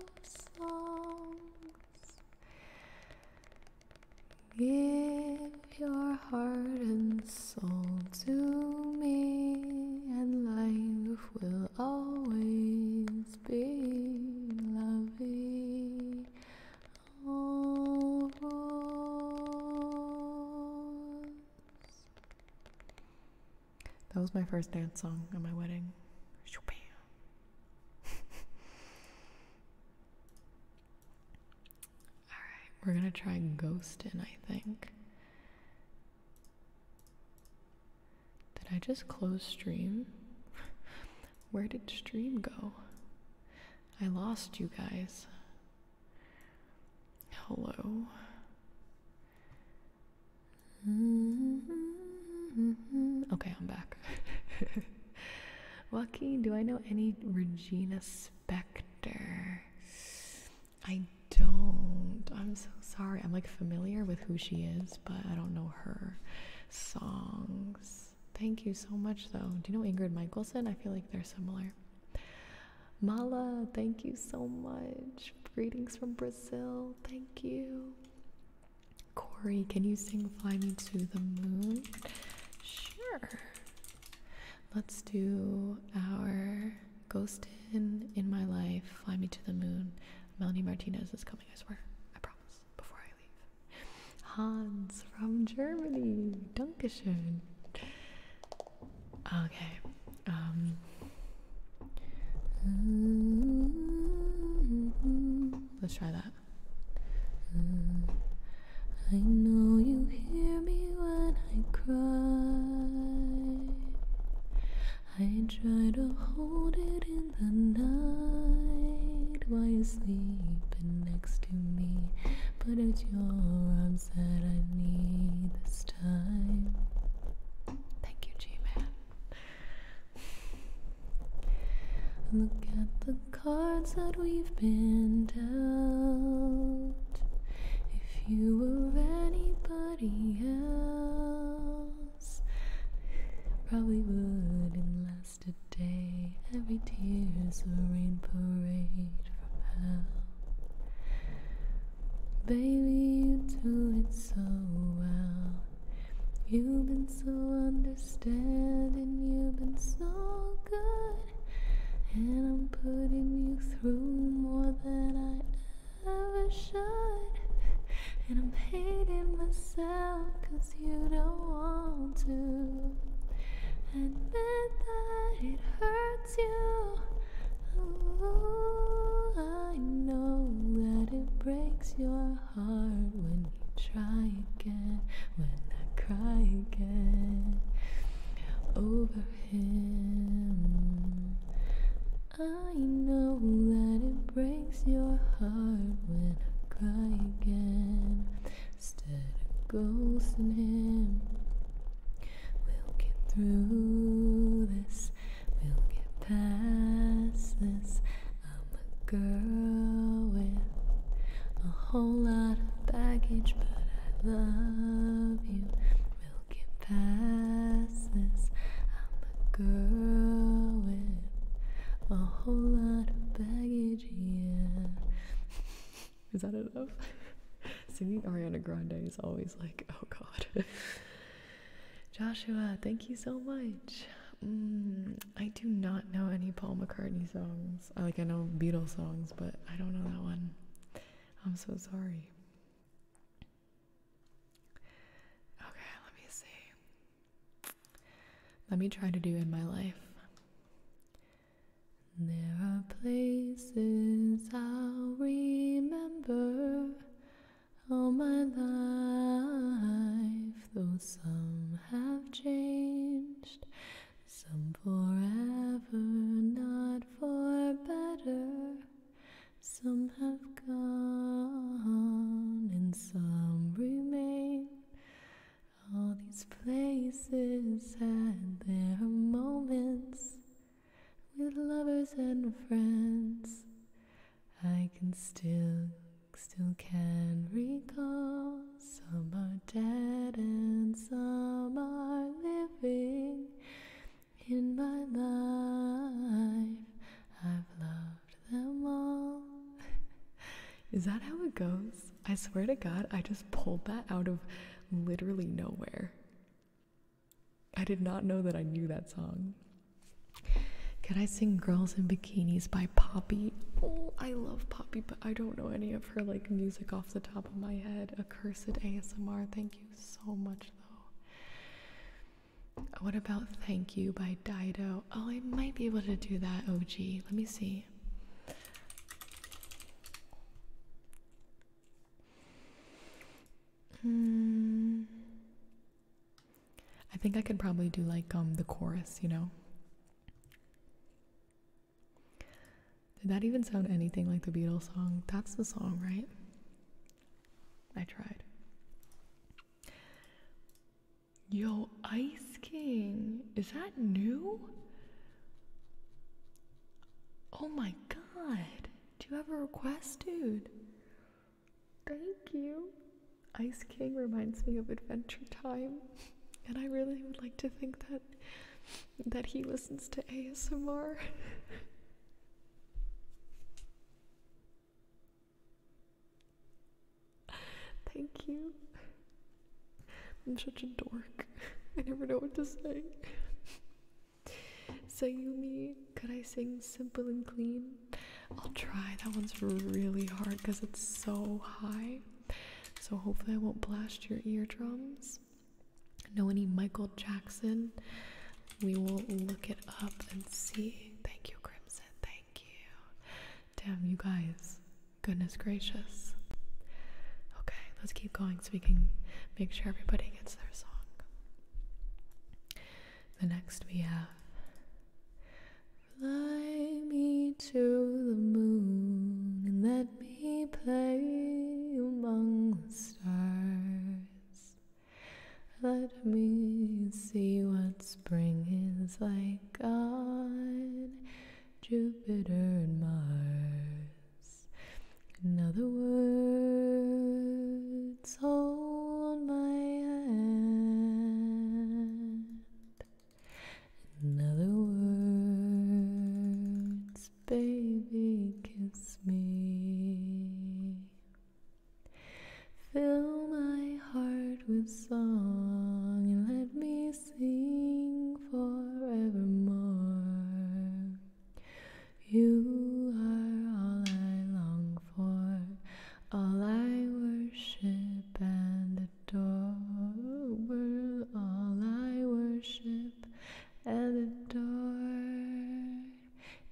Give your heart and soul to me, and life will always be loving. Oh, Rose. That was my first dance song at my wedding. Alright, we're gonna try Ghostin', I think. Did I just close stream? Where did stream go? I lost you guys. Hello. Mm-hmm. Okay, I'm back. Joaquin, do I know any Regina Spector? I don't. I'm so sorry. I'm like familiar with who she is, but I don't know her songs. Thank you so much, though. Do you know Ingrid Michaelson? I feel like they're similar. Mala, thank you so much. Greetings from Brazil. Thank you. Corey, can you sing Fly Me to the Moon? Sure. Let's do our Ghost in in My Life, Fly Me to the Moon. Melanie Martinez is coming, I swear. I promise. Before I leave. Hans from Germany. Dankeschön. Okay. Um, Mm-hmm. Let's try that. Mm-hmm. I know you hear me when I cry. I try to hold it in the night while you sleep next to me. But it's your arms that I need this time. Thank you, G Man. Look at the cards that we've been dealt. If you were anybody else, probably wouldn't last a day. Every tear's a rain parade from hell. Baby, you do it so well. You've been so understanding, you've been so good, and I'm putting you through more than I ever should. And I'm hating myself cause you don't want to admit that it hurts you. I know that it breaks your hard when you try again, when I cry again over him. I know that it breaks your heart when I cry again. Instead of ghosting him, we'll get through this. We'll get past this. I'm a girl with a whole lot of baggage, but I love you. We'll get past this. I'm a girl with a whole lot of baggage, yeah. Is that enough? Singing Ariana Grande is always like, oh god. Joshua, thank you so much. Mm, I do not know any Paul McCartney songs. I like I know Beatles songs, but I don't know that one. I'm so sorry. Okay, let me see. Let me try to do in my life. There are places I'll remember all my life, though some have changed, some for ever, not for better, some have gone, and some remain. All these places had their moments with lovers and friends. I can still, still can recall. Some are dead and some are living. In my life, I've loved them all. Is that how it goes? I swear to God, I just pulled that out of literally nowhere. I did not know that I knew that song. Can I sing Girls in Bikinis by Poppy? Oh, I love Poppy, but I don't know any of her like music off the top of my head. Accursed ASMR. Thank you so much though. What about Thank You by Dido? Oh, I might be able to do that, OG. Let me see. Hmm. I think I could probably do like um the chorus, you know. Did that even sound anything like the Beatles song? That's the song, right? I tried. Yo, Ice King, is that new? Oh my god. Do you have a request, dude? Thank you. Ice King reminds me of Adventure Time, and I really would like to think that that he listens to ASMR. Thank you. I'm such a dork. I never know what to say. you Sayumi, could I sing simple and clean? I'll try. That one's really hard because it's so high. So hopefully I won't blast your eardrums. Know any Michael Jackson? We will look it up and see. Thank you, Crimson. Thank you. Damn, you guys. Goodness gracious. Okay, let's keep going so we can make sure everybody gets their song. The next we have Fly me to the moon and let me play among the stars. Let me see what spring is like on Jupiter and Mars. In other words, hold my hand. In other words, baby, kiss me. Fill my heart with song and let me sing forevermore. You are all I long for. All I worship and adore, all I worship and adore.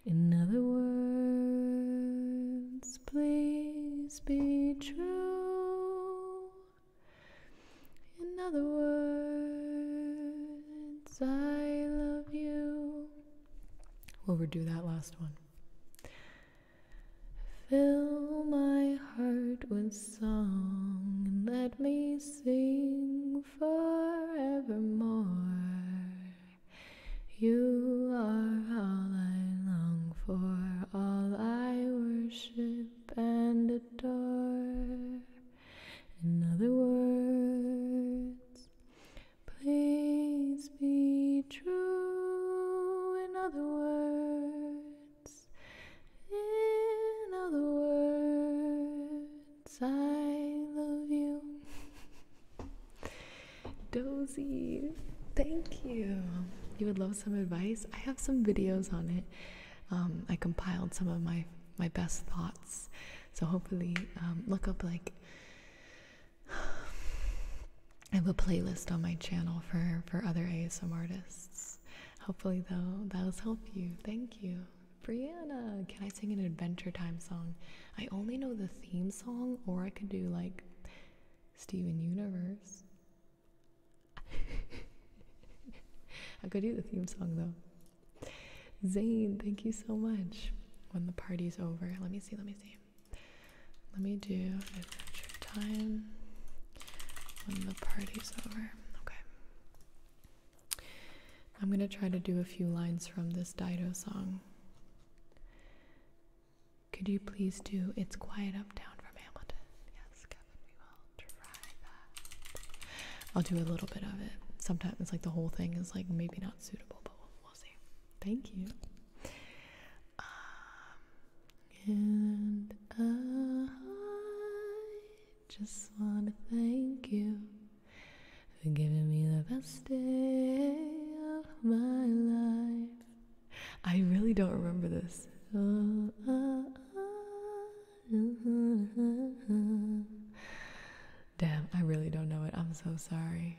In other words, please be true. In other words, I love you. We'll redo that last one. Fill my heart with song and let me sing forevermore. You are all I long for, all I worship and adore. In other words, please be true. In other words, in other words, I love you. Dozy, thank you. You would love some advice. I have some videos on it. Um, I compiled some of my my best thoughts, so hopefully um, look up like I have a playlist on my channel for for other ASM artists. Hopefully though that'll help you. Thank you. Brianna, can I sing an Adventure Time song? I only know the theme song, or I could do like Steven Universe. I could do the theme song though. Zane, thank you so much. When the party's over, let me see, let me see. Let me do adventure time when the party's over. Okay. I'm going to try to do a few lines from this Dido song. Could you please do It's Quiet Uptown from Hamilton? Yes, Kevin, we will try that. I'll do a little bit of it. Sometimes it's like the whole thing is like maybe not suitable, but we'll, see. Thank you. Um, and I just want to thank you for giving me the best day of my life. I really don't remember this. Damn, I really don't know it. I'm so sorry.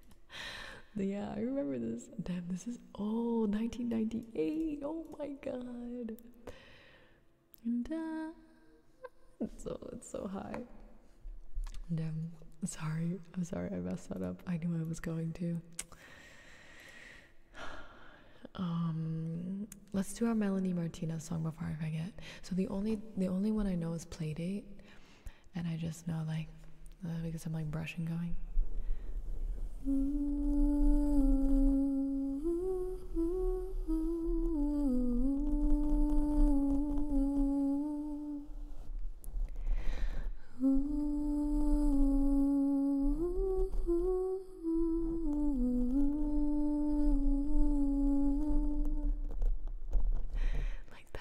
yeah, I remember this. Damn, this is oh 1998. Oh my god. And, uh, it's so it's so high. Damn. Sorry. I'm sorry I messed that up. I knew I was going to. Um let's do our Melanie Martinez song before I forget. So the only the only one I know is Playdate and I just know like uh, because I'm like brushing going. Like that.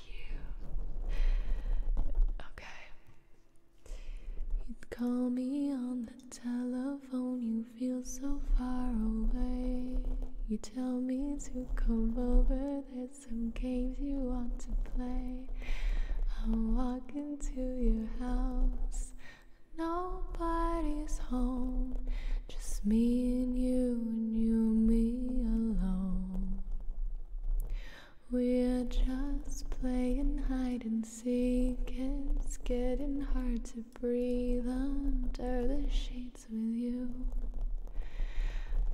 you. Okay. You'd call me on the telephone, you feel so far away. You tell me to come over, there's some games you want to play. I'm walking to your house, nobody's home. Just me and you, and you, and me alone. We're just playing hide and seek. It's getting hard to breathe under the sheets with you.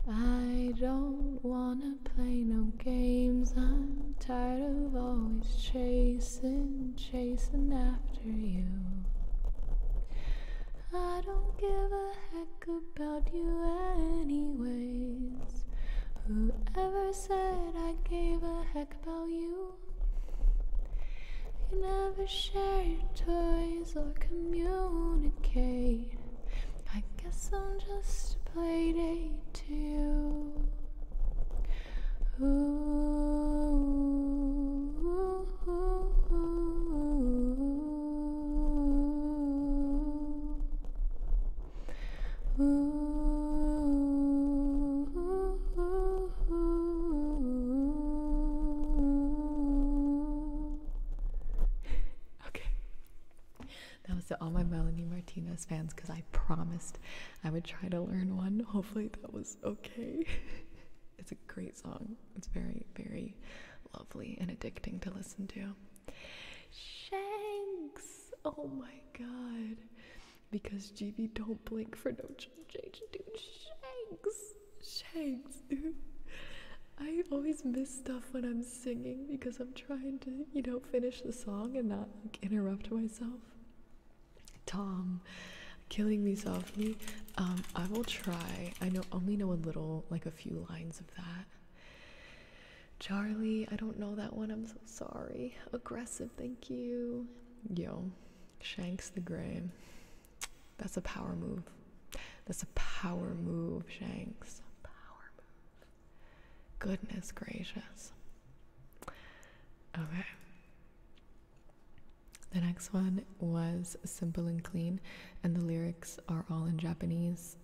I don't wanna play no games. I'm tired of always chasing, chasing after you. I don't give a about you, anyways? Whoever said I gave a heck about you? You never share your toys or communicate. I guess I'm just a playdate to you. Ooh. Okay. That was to all my Melanie Martinez fans because I promised I would try to learn one. Hopefully, that was okay. it's a great song. It's very, very lovely and addicting to listen to. Shanks! Oh my god. Because GB don't blink for no change, dude. Shanks! Shanks, dude. I always miss stuff when I'm singing because I'm trying to, you know, finish the song and not like, interrupt myself. Tom, killing me softly. Um, I will try. I know only know a little, like a few lines that. Charlie, I don't know that one. I'm so sorry. Aggressive, thank you. Yo, Shanks the Gray. That's a power move. That's a power move, Shanks. Power move. Goodness gracious. Okay. The next one was simple and clean and the lyrics are all in Japanese.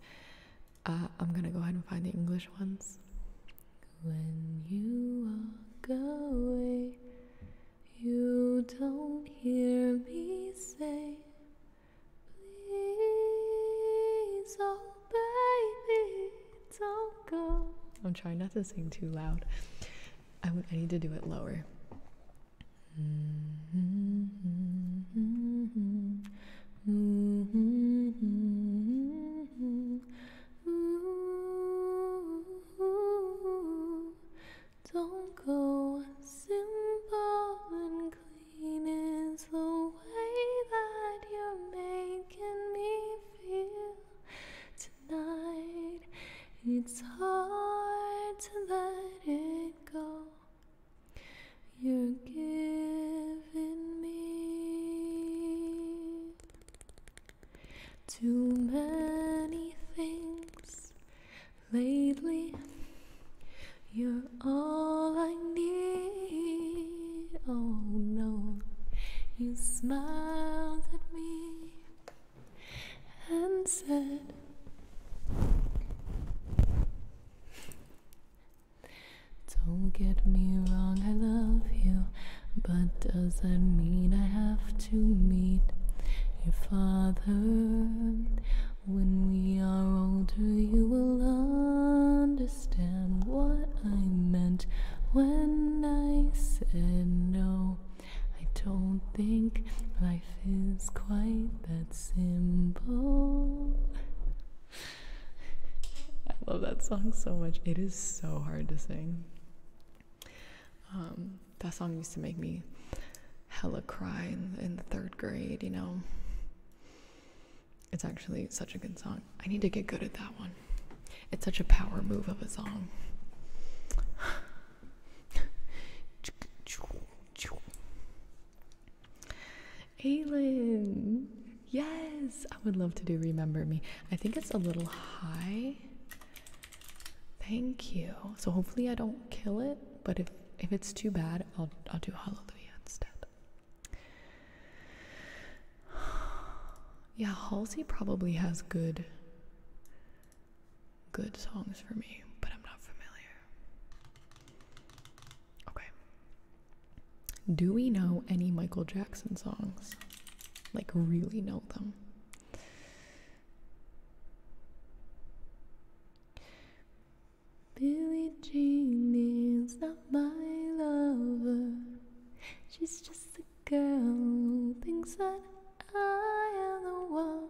Uh, I'm gonna go ahead and find the English ones. When you walk away, you don't hear me say, Please, oh baby, don't go. I'm trying not to sing too loud. I need to do it lower. Don't go simple and clean is the way that you're making me feel tonight. It's hard to let it go. You're giving me too many things lately. You're all I need. Oh no, you smiled at me and said. Don't get me wrong, I love you, but does that mean I have to meet your father? When we are older, you will understand what I meant when I said no. I don't think life is quite that. I love that song so much. It is so hard to sing. Um, that song used to make me hella cry in the third grade, you know. It's actually such a good song. I need to get good at that one. It's such a power move of a song. Aylin, yes, I would love to do Remember Me. I think it's a little high. Thank you. So hopefully I don't kill it, but if if it's too bad, I'll I'll do Hallelujah instead. yeah, Halsey probably has good good songs for me, but I'm not familiar. Okay. Do we know any Michael Jackson songs? Like, really know them? Billy Jean is not my lover. She's just a girl who thinks that I am the one.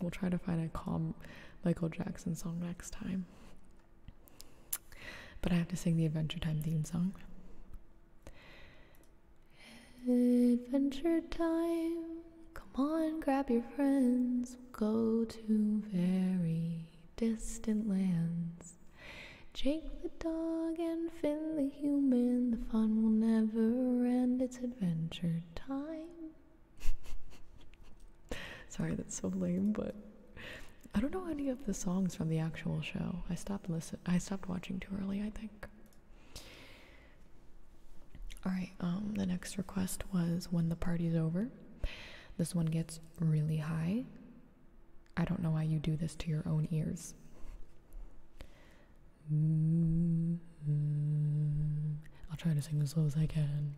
We'll try to find a calm Michael Jackson song next time. But I have to sing the Adventure Time theme song. Adventure Time, come on, grab your friends, we'll go to very distant lands. Jake the dog and Finn the human, the fun will never end, it's adventure time. Sorry, that's so lame, but I don't know any of the songs from the actual show. I stopped listen I stopped watching too early, I think. Alright, um, the next request was when the party's over. This one gets really high. I don't know why you do this to your own ears. Mm Mm, I'll try to sing as slow as I can.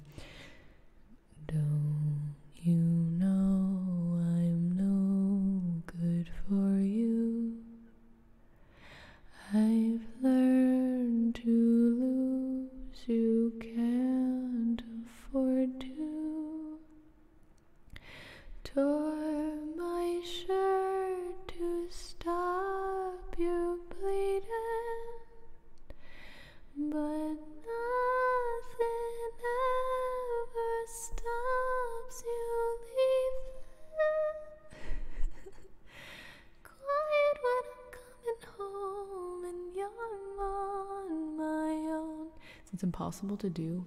Don't you know I'm no good for you? I've learned to lose, you can't afford to. Tore my shirt to stop you bleeding but nothing ever stops you leaving. Quiet when I'm coming home and you're on my own. it's impossible to do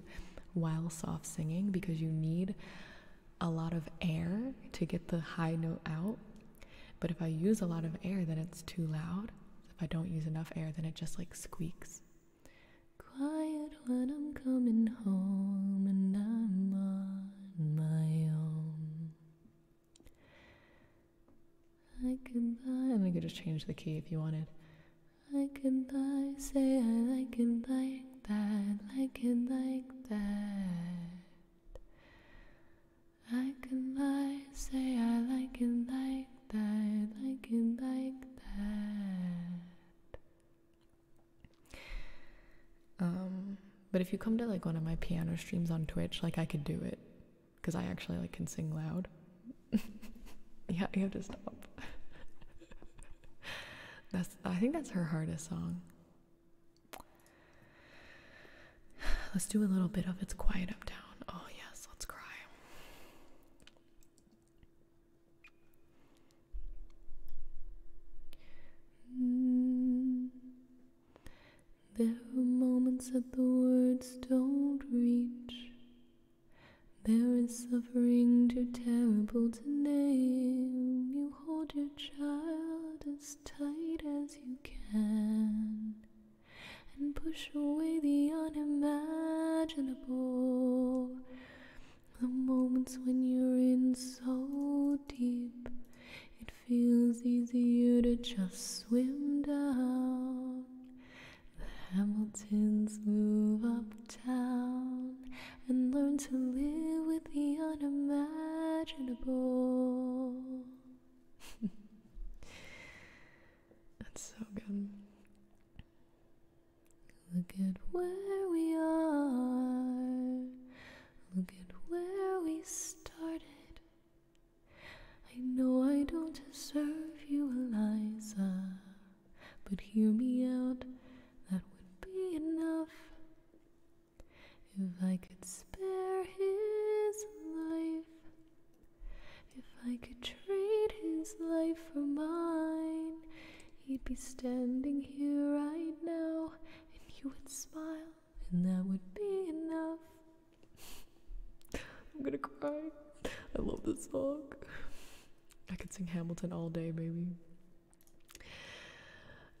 while soft singing because you need a lot of air to get the high note out. But if I use a lot of air, then it's too loud. If I don't use enough air, then it just like squeaks. Quiet when I'm coming home and I'm on my own. I could lie, and I could just change the key if you wanted. I could lie, say I like it like that, like it like that. I can lie, say I like it like that, like it like that. Um, but if you come to like one of my piano streams on Twitch, like I could do it because I actually like can sing loud. yeah, you have to stop. that's I think that's her hardest song. Let's do a little bit of It's Quiet Uptown. Oh, yes, let's cry. Mm. There are moments that the words don't reach. There is suffering too terrible to name. You hold your child as tight as you can and push away the unimaginable. The moments when you're in so deep, it feels easier to just swim down. The Hamiltons move uptown and learn to live with the unimaginable. That's so good. Look at where we are. Look at where we started. I know I don't deserve you, Eliza, but hear me out. That would be enough. If I could spare his life, if I could trade his life for mine, he'd be standing here right now, and you would smile, and that would be enough. I'm gonna cry. I love this song. I could sing Hamilton all day, baby.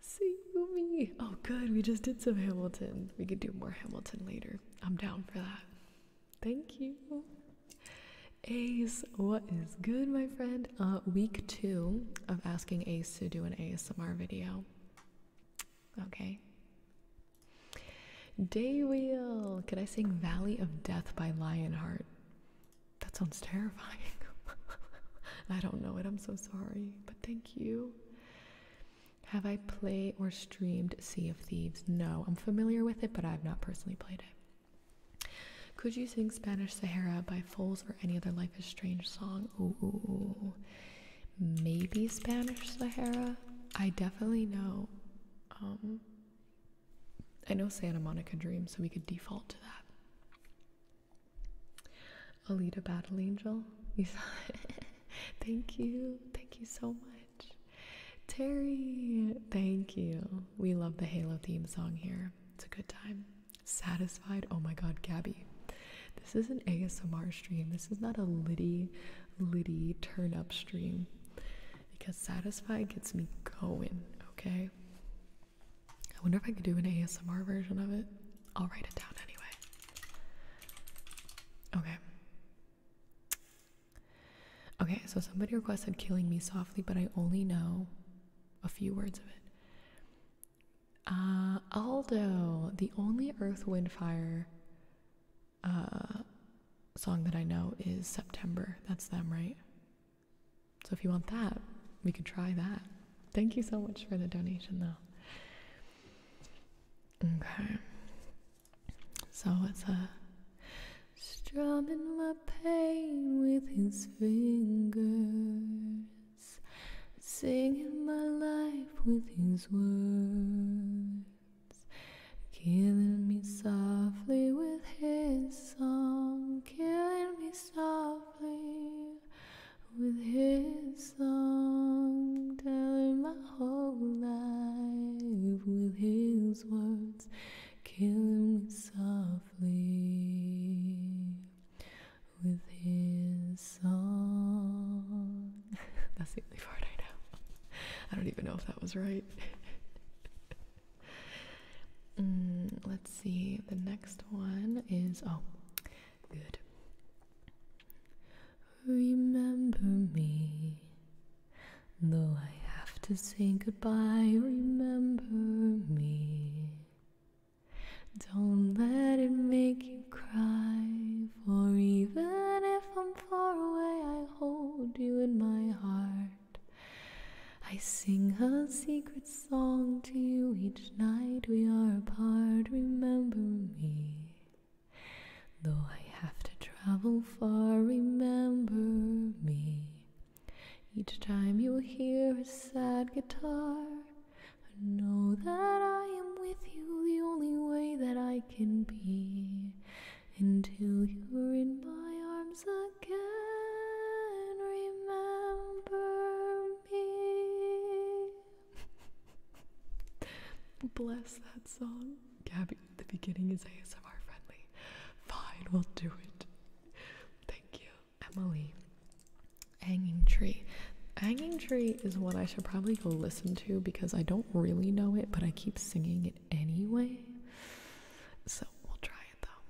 See me. Oh, good. We just did some Hamilton. We could do more Hamilton later. I'm down for that. Thank you. Ace, what is good, my friend? Uh, week two of asking Ace to do an ASMR video. Okay. Day Daywheel, could I sing Valley of Death by Lionheart? That sounds terrifying. I don't know it, I'm so sorry, but thank you. Have I played or streamed Sea of Thieves? No, I'm familiar with it, but I've not personally played it. Could you sing Spanish Sahara by Foles or any other Life is Strange song? Ooh, maybe Spanish Sahara. I definitely know. Um, I know Santa Monica Dream, so we could default to that. Alita Battle Angel, you saw it. thank you. Thank you so much. Terry, thank you. We love the Halo theme song here. It's a good time. Satisfied. Oh my god, Gabby. This is an ASMR stream. This is not a Liddy, Liddy turn up stream because Satisfied gets me going, okay? I wonder if I could do an ASMR version of it. I'll write it down anyway. Okay, Okay, so somebody requested Killing Me Softly, but I only know a few words of it. Uh, Aldo, the only Earth, Wind, Fire uh, song that I know is September. That's them, right? So if you want that, we could try that. Thank you so much for the donation, though. Okay. So it's a strumming my pain with his fingers, singing my life with his words, killing me softly with his song, killing me softly with his song, telling my whole life with his words, killing me softly with his song. That's the only part I know. I don't even know if that was right. Mm, let's see. The next one is oh, good. Remember me, though I have to say goodbye. Remember me. Don't let it make you cry. For even if I'm far away, I hold you in my heart. I sing a secret song to you each night we are apart. Remember me. Though I have to travel far, remember me. Each time you hear a sad guitar, know that I am with you the only way that I can be until you're in my arms again. Remember me. Bless that song. Gabby, the beginning is ASMR friendly. Fine, we'll do it. Thank you, Emily. Hanging Tree. Hanging Tree is what I should probably go listen to because I don't really know it, but I keep singing it anyway. So we'll try it though.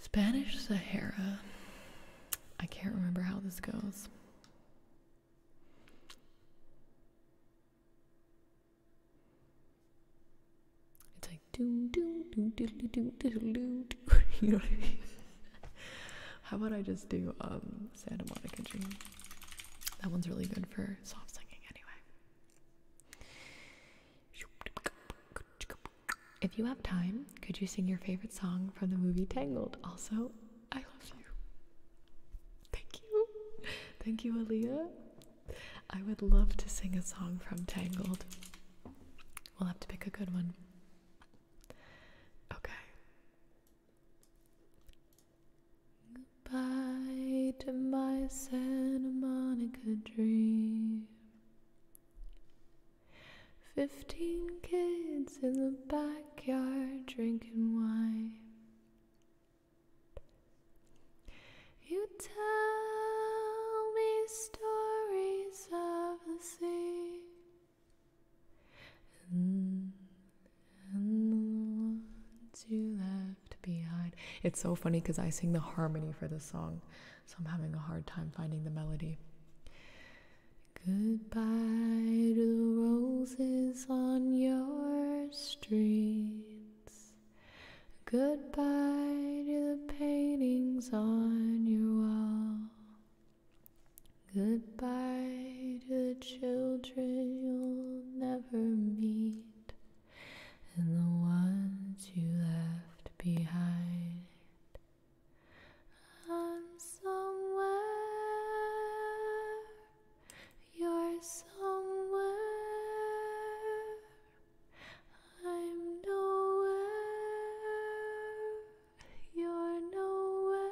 Spanish Sahara. I can't remember how this goes. It's like do do do do do do do do. You know what I mean? How about I just do um Santa Monica Dream? That one's really good for soft singing, anyway. If you have time, could you sing your favorite song from the movie Tangled? Also, I love you. Thank you. Thank you, Aaliyah. I would love to sing a song from Tangled. We'll have to pick a good one. Okay. Goodbye to my Santa Monica dream. Fifteen kids in the backyard drinking wine. You tell me stories of the sea and, the ones you left behind. It's so funny because I sing the harmony for the song, so I'm having a hard time finding the melody. Goodbye to the roses on your streets. Goodbye to the paintings on your wall. Goodbye to the children you'll never meet and the ones you left behind. i somewhere you're somewhere. I'm nowhere. You're nowhere.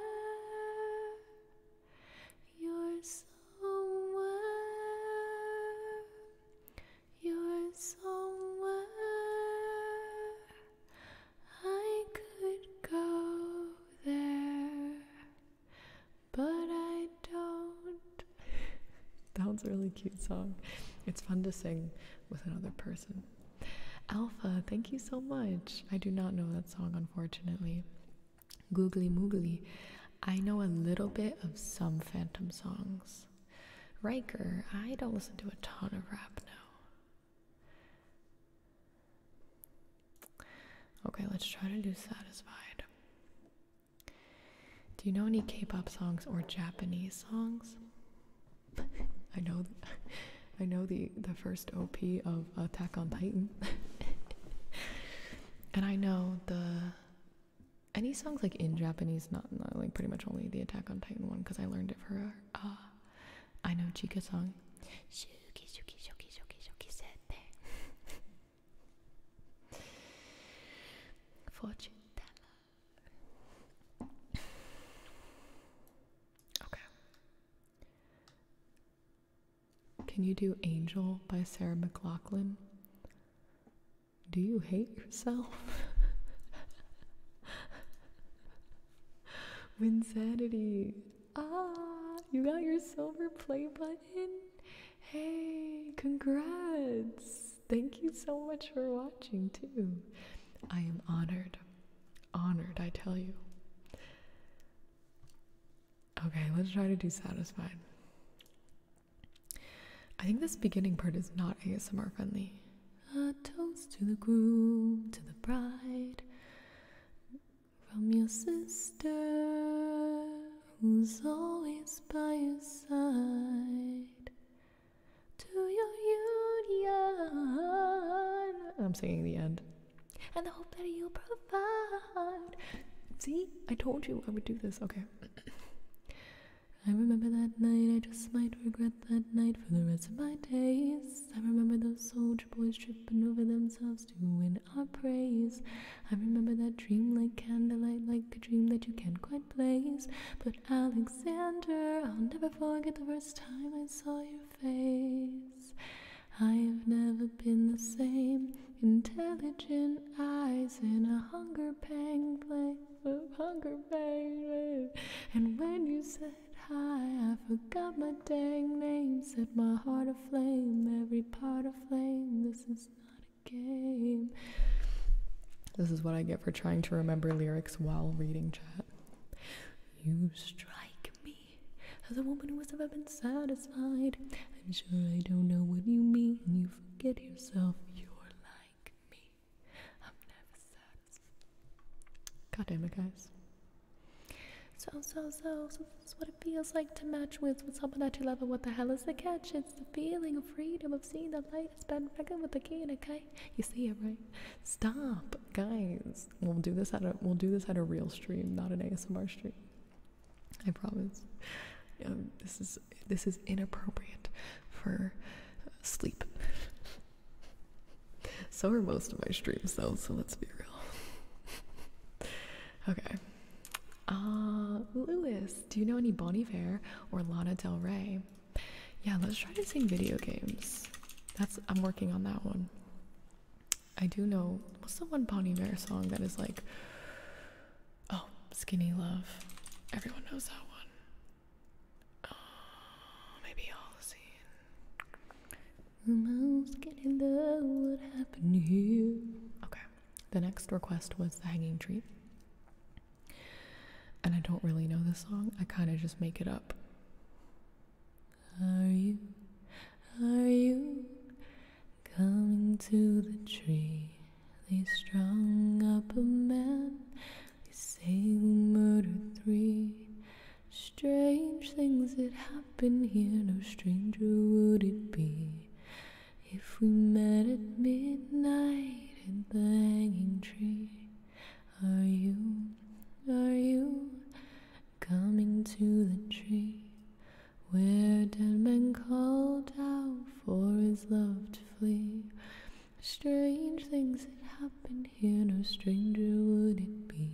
You're somewhere. You're somewhere. I could go there but I don't. That's a really cute song. It's fun to sing with another person. Alpha, thank you so much. I do not know that song, unfortunately. Googly Moogly, I know a little bit of some Phantom songs. Riker, I don't listen to a ton of rap now. Okay, let's try to do satisfied. Do you know any K-pop songs or Japanese songs? I know I know the the first OP of Attack on Titan. and I know the any songs like in Japanese, not, like pretty much only the Attack on Titan one because I learned it for uh I know Chica song. Shooky, shooky, shooky, shooky, shooky, said there. Fortune Okay. Can you do Angel by Sarah McLaughlin? Do you hate yourself? Winsanity. Ah, you got your silver play button? Hey, congrats! Thank you so much for watching, too. I am honored. Honored, I tell you. Okay, let's try to do satisfied. I think this beginning part is not ASMR friendly. A toast to the groom, to the bride from your sister who's always by your side to your union. I'm singing the end. And the hope that you provide. See, I told you I would do this. Okay. I remember that night, I just might regret that night for the rest of my days. I remember those soldier boys tripping over themselves, to win our praise. I remember that dream like candlelight, like a dream that you can't quite place. But Alexander, I'll never forget the first time I saw your face. I've never been the same. Intelligent eyes and a hunger pang play, hunger pang. And when you said hi, I forgot my dang name, set my heart aflame, every part of flame. This is not a game. This is what I get for trying to remember lyrics while reading chat. You strike me as a woman who has ever been satisfied. I'm sure I don't know what you mean. You forget yourself. You're like me. I'm never satisfied. God guys. So, so, so, so this is what it feels like to match with, with someone that you love. And what the hell is the catch? It's the feeling of freedom of seeing the light. It's been fucking with the kid, okay? You see it, right? Stop, guys. We'll do this at a we'll do this at a real stream, not an ASMR stream. I promise. Um, this is this is inappropriate for uh, sleep. so are most of my streams, though. So let's be real. Okay. Uh, Lewis, do you know any Bonnie Iver or Lana Del Rey? Yeah, let's try to sing video games. That's I'm working on that one. I do know what's the one Bonnie Iver song that is like oh skinny love. Everyone knows that one. Oh, maybe all seen. Skinny love, what happened here? Okay. The next request was The Hanging Tree. And I don't really know this song, I kind of just make it up. Are you, are you coming to the tree? They strung up a man, they say who murdered three. Strange things that happen here, no stranger would it be if we met at midnight in the hanging tree, are you, are you coming to the tree where dead men called out for his love to flee? Strange things that happen here, no stranger would it be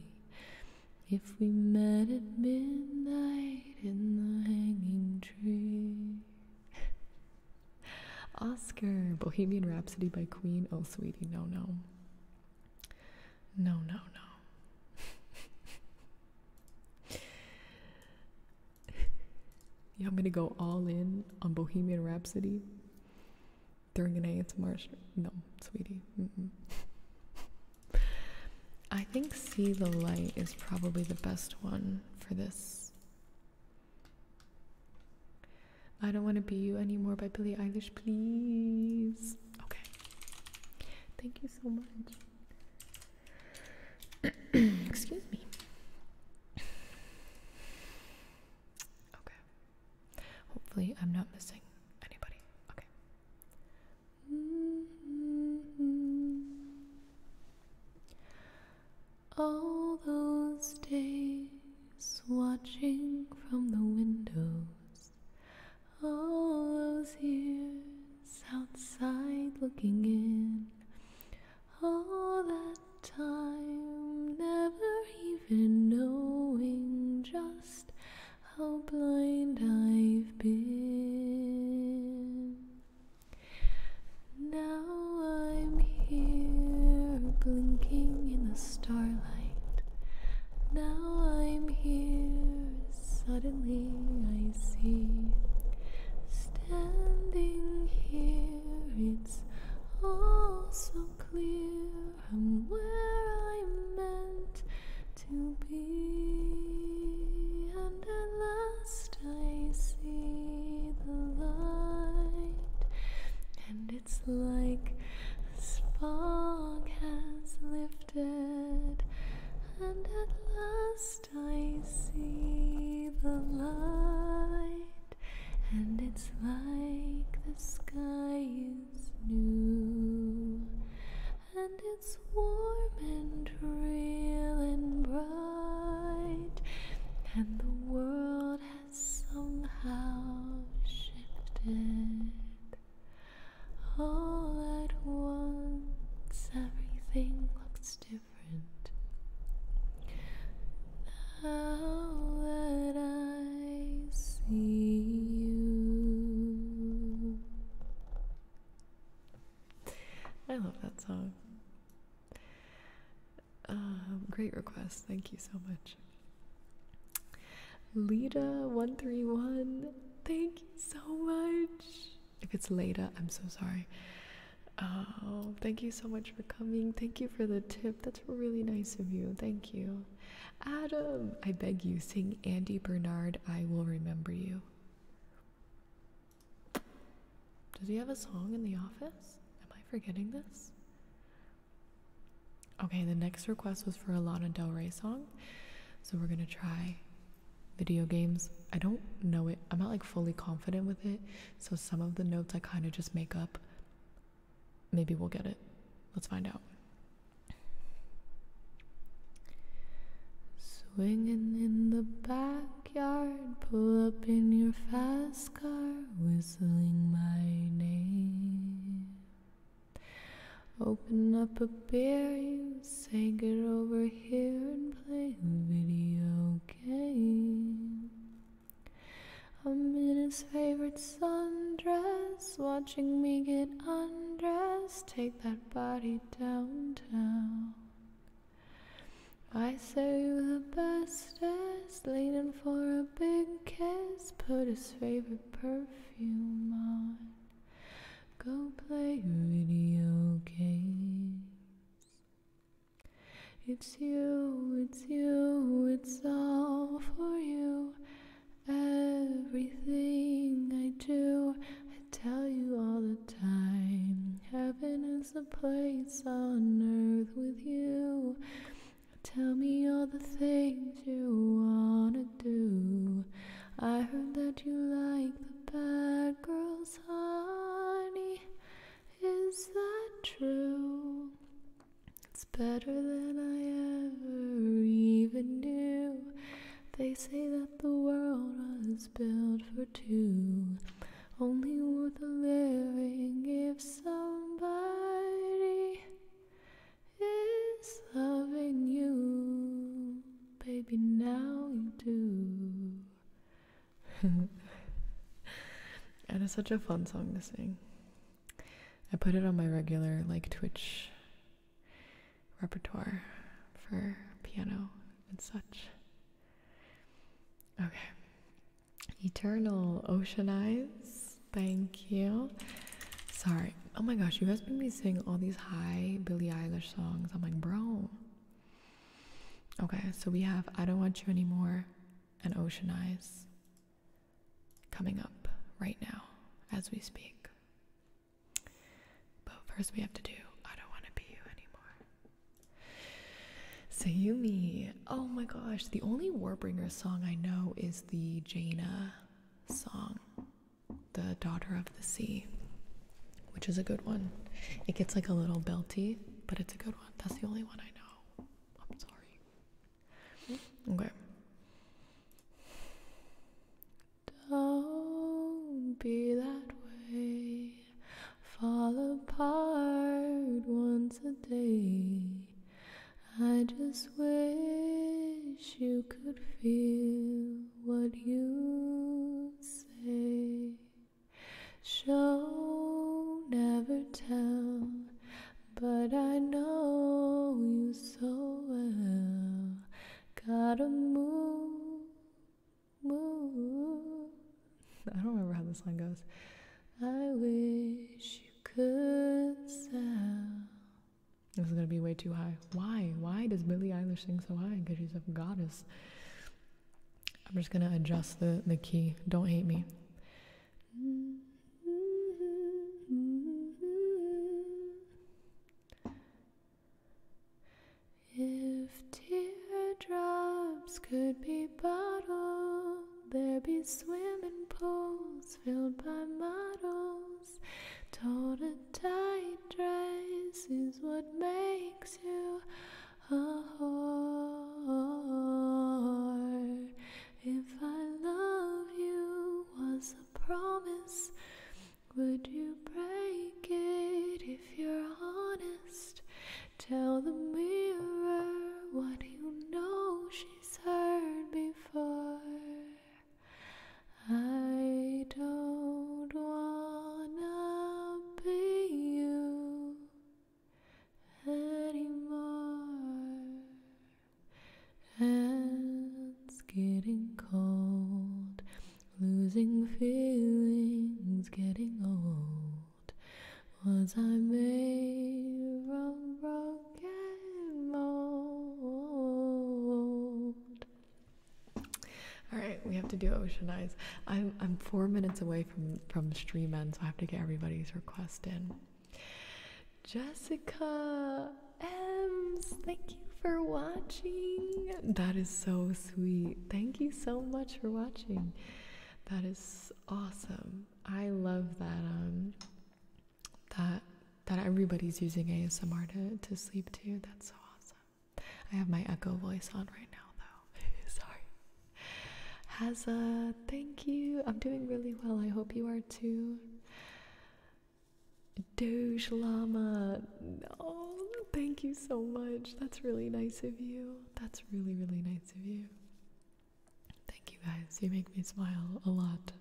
if we met at midnight in the hanging tree. Oscar, Bohemian Rhapsody by Queen. Oh, sweetie, no, no. No, no, no. yeah, I'm gonna go all in on Bohemian Rhapsody during an ASMR. No, sweetie. Mm -mm. I think See the Light is probably the best one for this. I don't want to be you anymore by Billie Eilish, please. Okay. Thank you so much. Excuse me. Okay. Hopefully, I'm not missing anybody. Okay. Mm-hmm. All those days watching from the windows, all those years outside looking in, all that time never even knowing just how blind I've been. Now I'm here, blinking in the starlight. Now I'm here, suddenly I see. Standing here, it's all so clear. I'm where i meant to be, and at last I see the light, and it's like the fog has lifted, and at last I see the light, and it's like the sky is new and it's warm and real and bright, and the world has somehow shifted. All at once, everything looks different. Now that I see you, I love that song. Um, great request. Thank you so much. Lita131, thank you so much. If it's Leda, I'm so sorry. Oh, thank you so much for coming. Thank you for the tip. That's really nice of you. Thank you. Adam, I beg you, sing Andy Bernard, I Will Remember You. Does he have a song in the office? Am I forgetting this? Okay, the next request was for a Lana Del Rey song. So we're gonna try video games. I don't know it, I'm not like fully confident with it. So some of the notes I kind of just make up. Maybe we'll get it. Let's find out. Swinging in the backyard, pull up in your fast car, whistling my name. Open up a beer, you say, get over here and play a video game. I'm in his favorite sundress, watching me get undressed, take that body downtown. I say you the bestest, leading for a big kiss. Put his favorite perfume on. Go play video games. It's you, it's you, it's all for you. Everything I do, tell you all the time. Heaven is a place on earth with you. Tell me all the things you wanna do. I heard that you like the bad girls, honey. Is that true? It's better than I ever even knew. They say that the world was built for two, only worth the living if somebody is loving you. Baby, now you do. it is such a fun song to sing. I put it on my regular, like, Twitch repertoire for piano and such. Okay. Eternal Ocean Eyes. Thank you. Sorry. Oh my gosh, you guys been me singing all these high Billie Eilish songs. I'm like, bro. Okay, so we have I Don't Want You Anymore and Ocean Eyes coming up right now as we speak. But first, we have to do I Don't Want to Be You Anymore. Sayumi. Oh my gosh, the only Warbringer song I know is the Jaina song, The Daughter of the Sea, which is a good one. It gets like a little belty, but it's a good one. That's the only one I know. I'm sorry. Okay. Don't be that way fall apart once a day. I just wish you could feel what you say. Show, never tell, but I know you so well. Gotta move I don't remember how this line goes. I wish you could sound. This is gonna be way too high. Why? Why does Billie Eilish sing so high? Because she's a goddess. I'm just gonna adjust the, the key. Don't hate me. If teardrops could be bottled, there'd be swimming pools filled by models. Told a tight dress is what makes you a whore. If I love you was a promise, would you break it? if you're honest, tell the mirror what you know she's heard before. I don't wanna be you anymore. it's getting cold. Losing feelings, getting old. Was I made from broken mold? All right, we have to do Ocean Eyes. I'm I'm four minutes away from from stream end, so I have to get everybody's request in. Jessica M's, thank you for watching. That is so sweet. Thank you so much for watching. That is awesome. I love that um that that everybody's using ASMR to, to sleep too. That's so awesome. I have my echo voice on right now though. Sorry. Hazza, thank you. I'm doing really well. I hope you are too. Doge Lama. Oh, thank you so much. That's really nice of you that's really, really nice of you. Thank you guys. You make me smile a lot.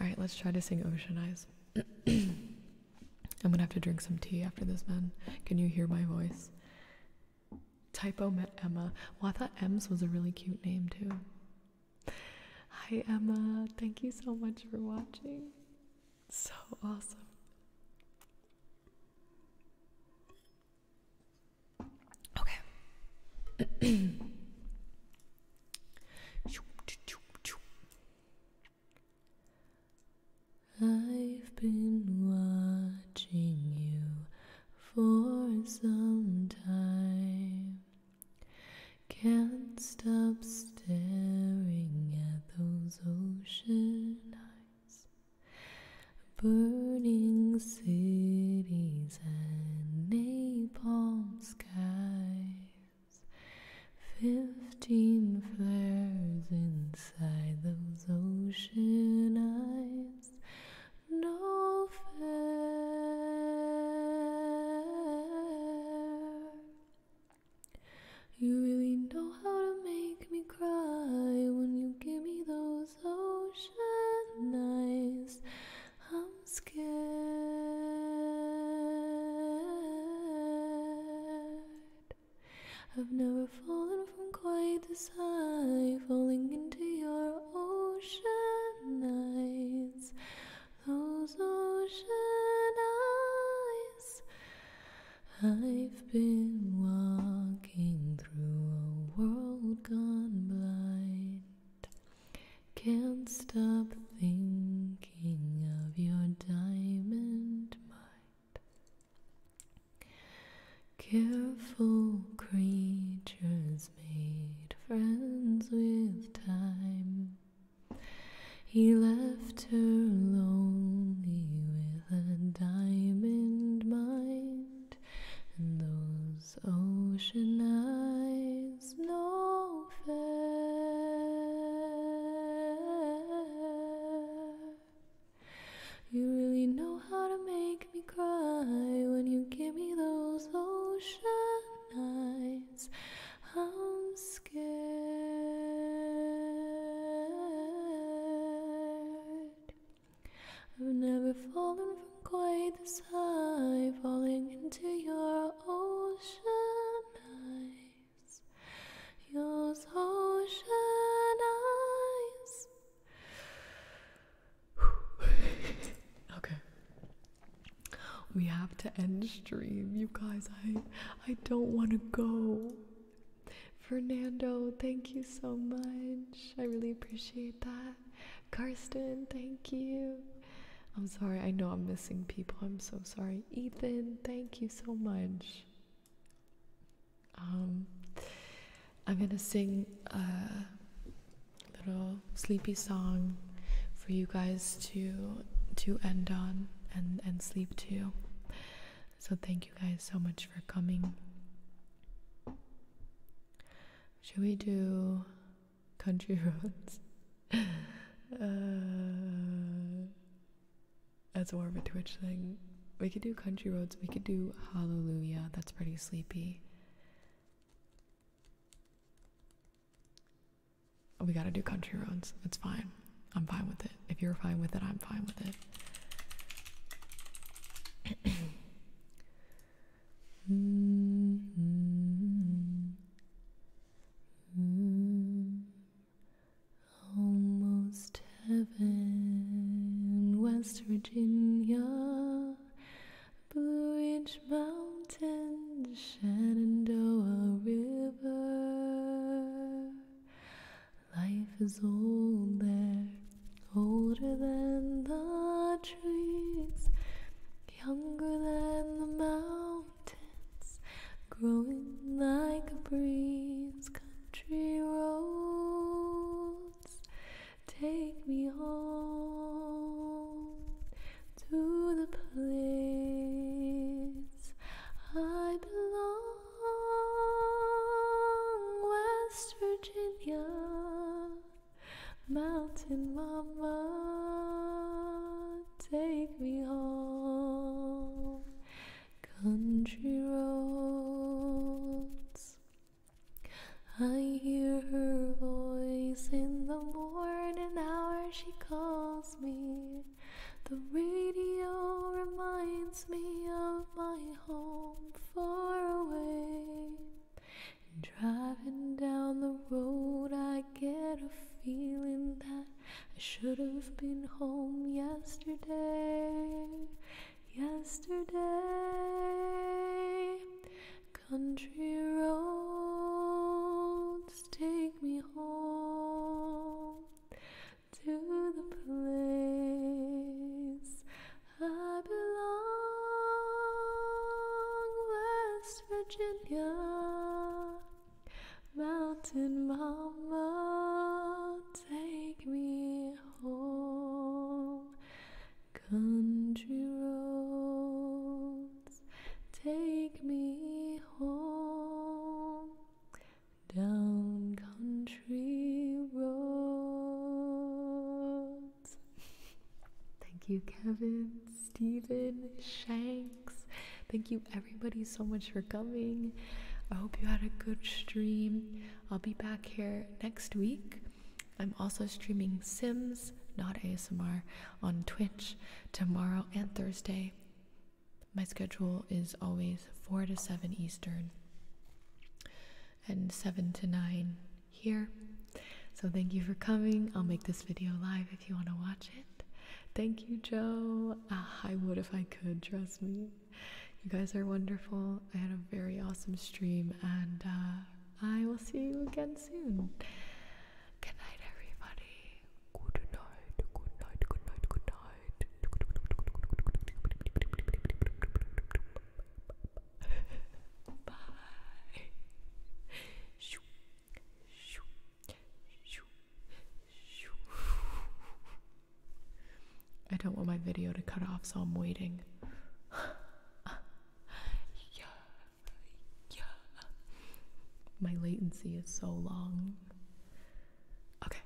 Alright, let's try to sing Ocean Eyes. I'm gonna have to drink some tea after this, man. Can you hear my voice? Typo met Emma. Well, I thought Ems was a really cute name, too. Hi, Emma. Thank you so much for watching. So awesome. Okay. I've been watching you for some time. Can't stop staring at those ocean eyes burning cities and napalm skies, fifteen flares inside those ocean eyes, no fair. You really know how to make me cry when you give me those ocean eyes. I'm scared. I've never fallen from quite this high, falling into your ocean eyes. Those ocean eyes. I've been walking through a world gone blind. Can't stop thinking of your diamond mind. Careful creatures made friends with time. He left after lonely with a diamond mind and those ocean eyes no fair. You really know how to make me cry when you give me those ocean eyes. I'm scared. I've never fallen from quite this high, falling into your ocean eyes. Your ocean eyes. okay. We have to end stream, you guys. I I don't want to go. Fernando, thank you so much. I really appreciate that. Karsten, thank you. I'm sorry, I know I'm missing people. I'm so sorry. Ethan, thank you so much. Um, I'm gonna sing a little sleepy song for you guys to to end on and and sleep too. So, thank you guys so much for coming. Should we do country roads? uh, that's more of a Twitch thing. We could do country roads. We could do hallelujah. That's pretty sleepy. We gotta do country roads. It's fine. I'm fine with it. If you're fine with it, I'm fine with it. almost heaven, West Virginia, Blue Ridge Mountain, Shenandoah River, Life is old there, older than the trees, younger than the mountains, growing like a breeze. Country roads, take me home to the place I belong song, West Virginia, Mountain Mama, take me home, country roads. I hear her voice in the morning hour, she calls me. The radio reminds me of my home far away. Driving down the road, I get a feeling that I should have been home yesterday. Yesterday, country roads take me home to the place I belong, West Virginia, Mountain Mama, take me home, country roads, take me home down country roads. Thank you, Kevin, Stephen, Shanks. Thank you, everybody, so much for coming. I hope you had a good stream. I'll be back here next week. I'm also streaming Sims, not ASMR, on Twitch tomorrow and Thursday. My schedule is always 4 to 7 Eastern and 7 to 9 here. So thank you for coming. I'll make this video live if you want to watch it. Thank you, Joe. Ah, I would if I could, trust me. You guys are wonderful. I had a very awesome stream, and uh, I will see you again soon. Good night, everybody. Good night, good night, good night, good night. Bye. Shoo. Shoo. Shoo. Shoo. I don't want my video to cut off, so I'm waiting. yeah. Yeah. My latency is so long. Okay.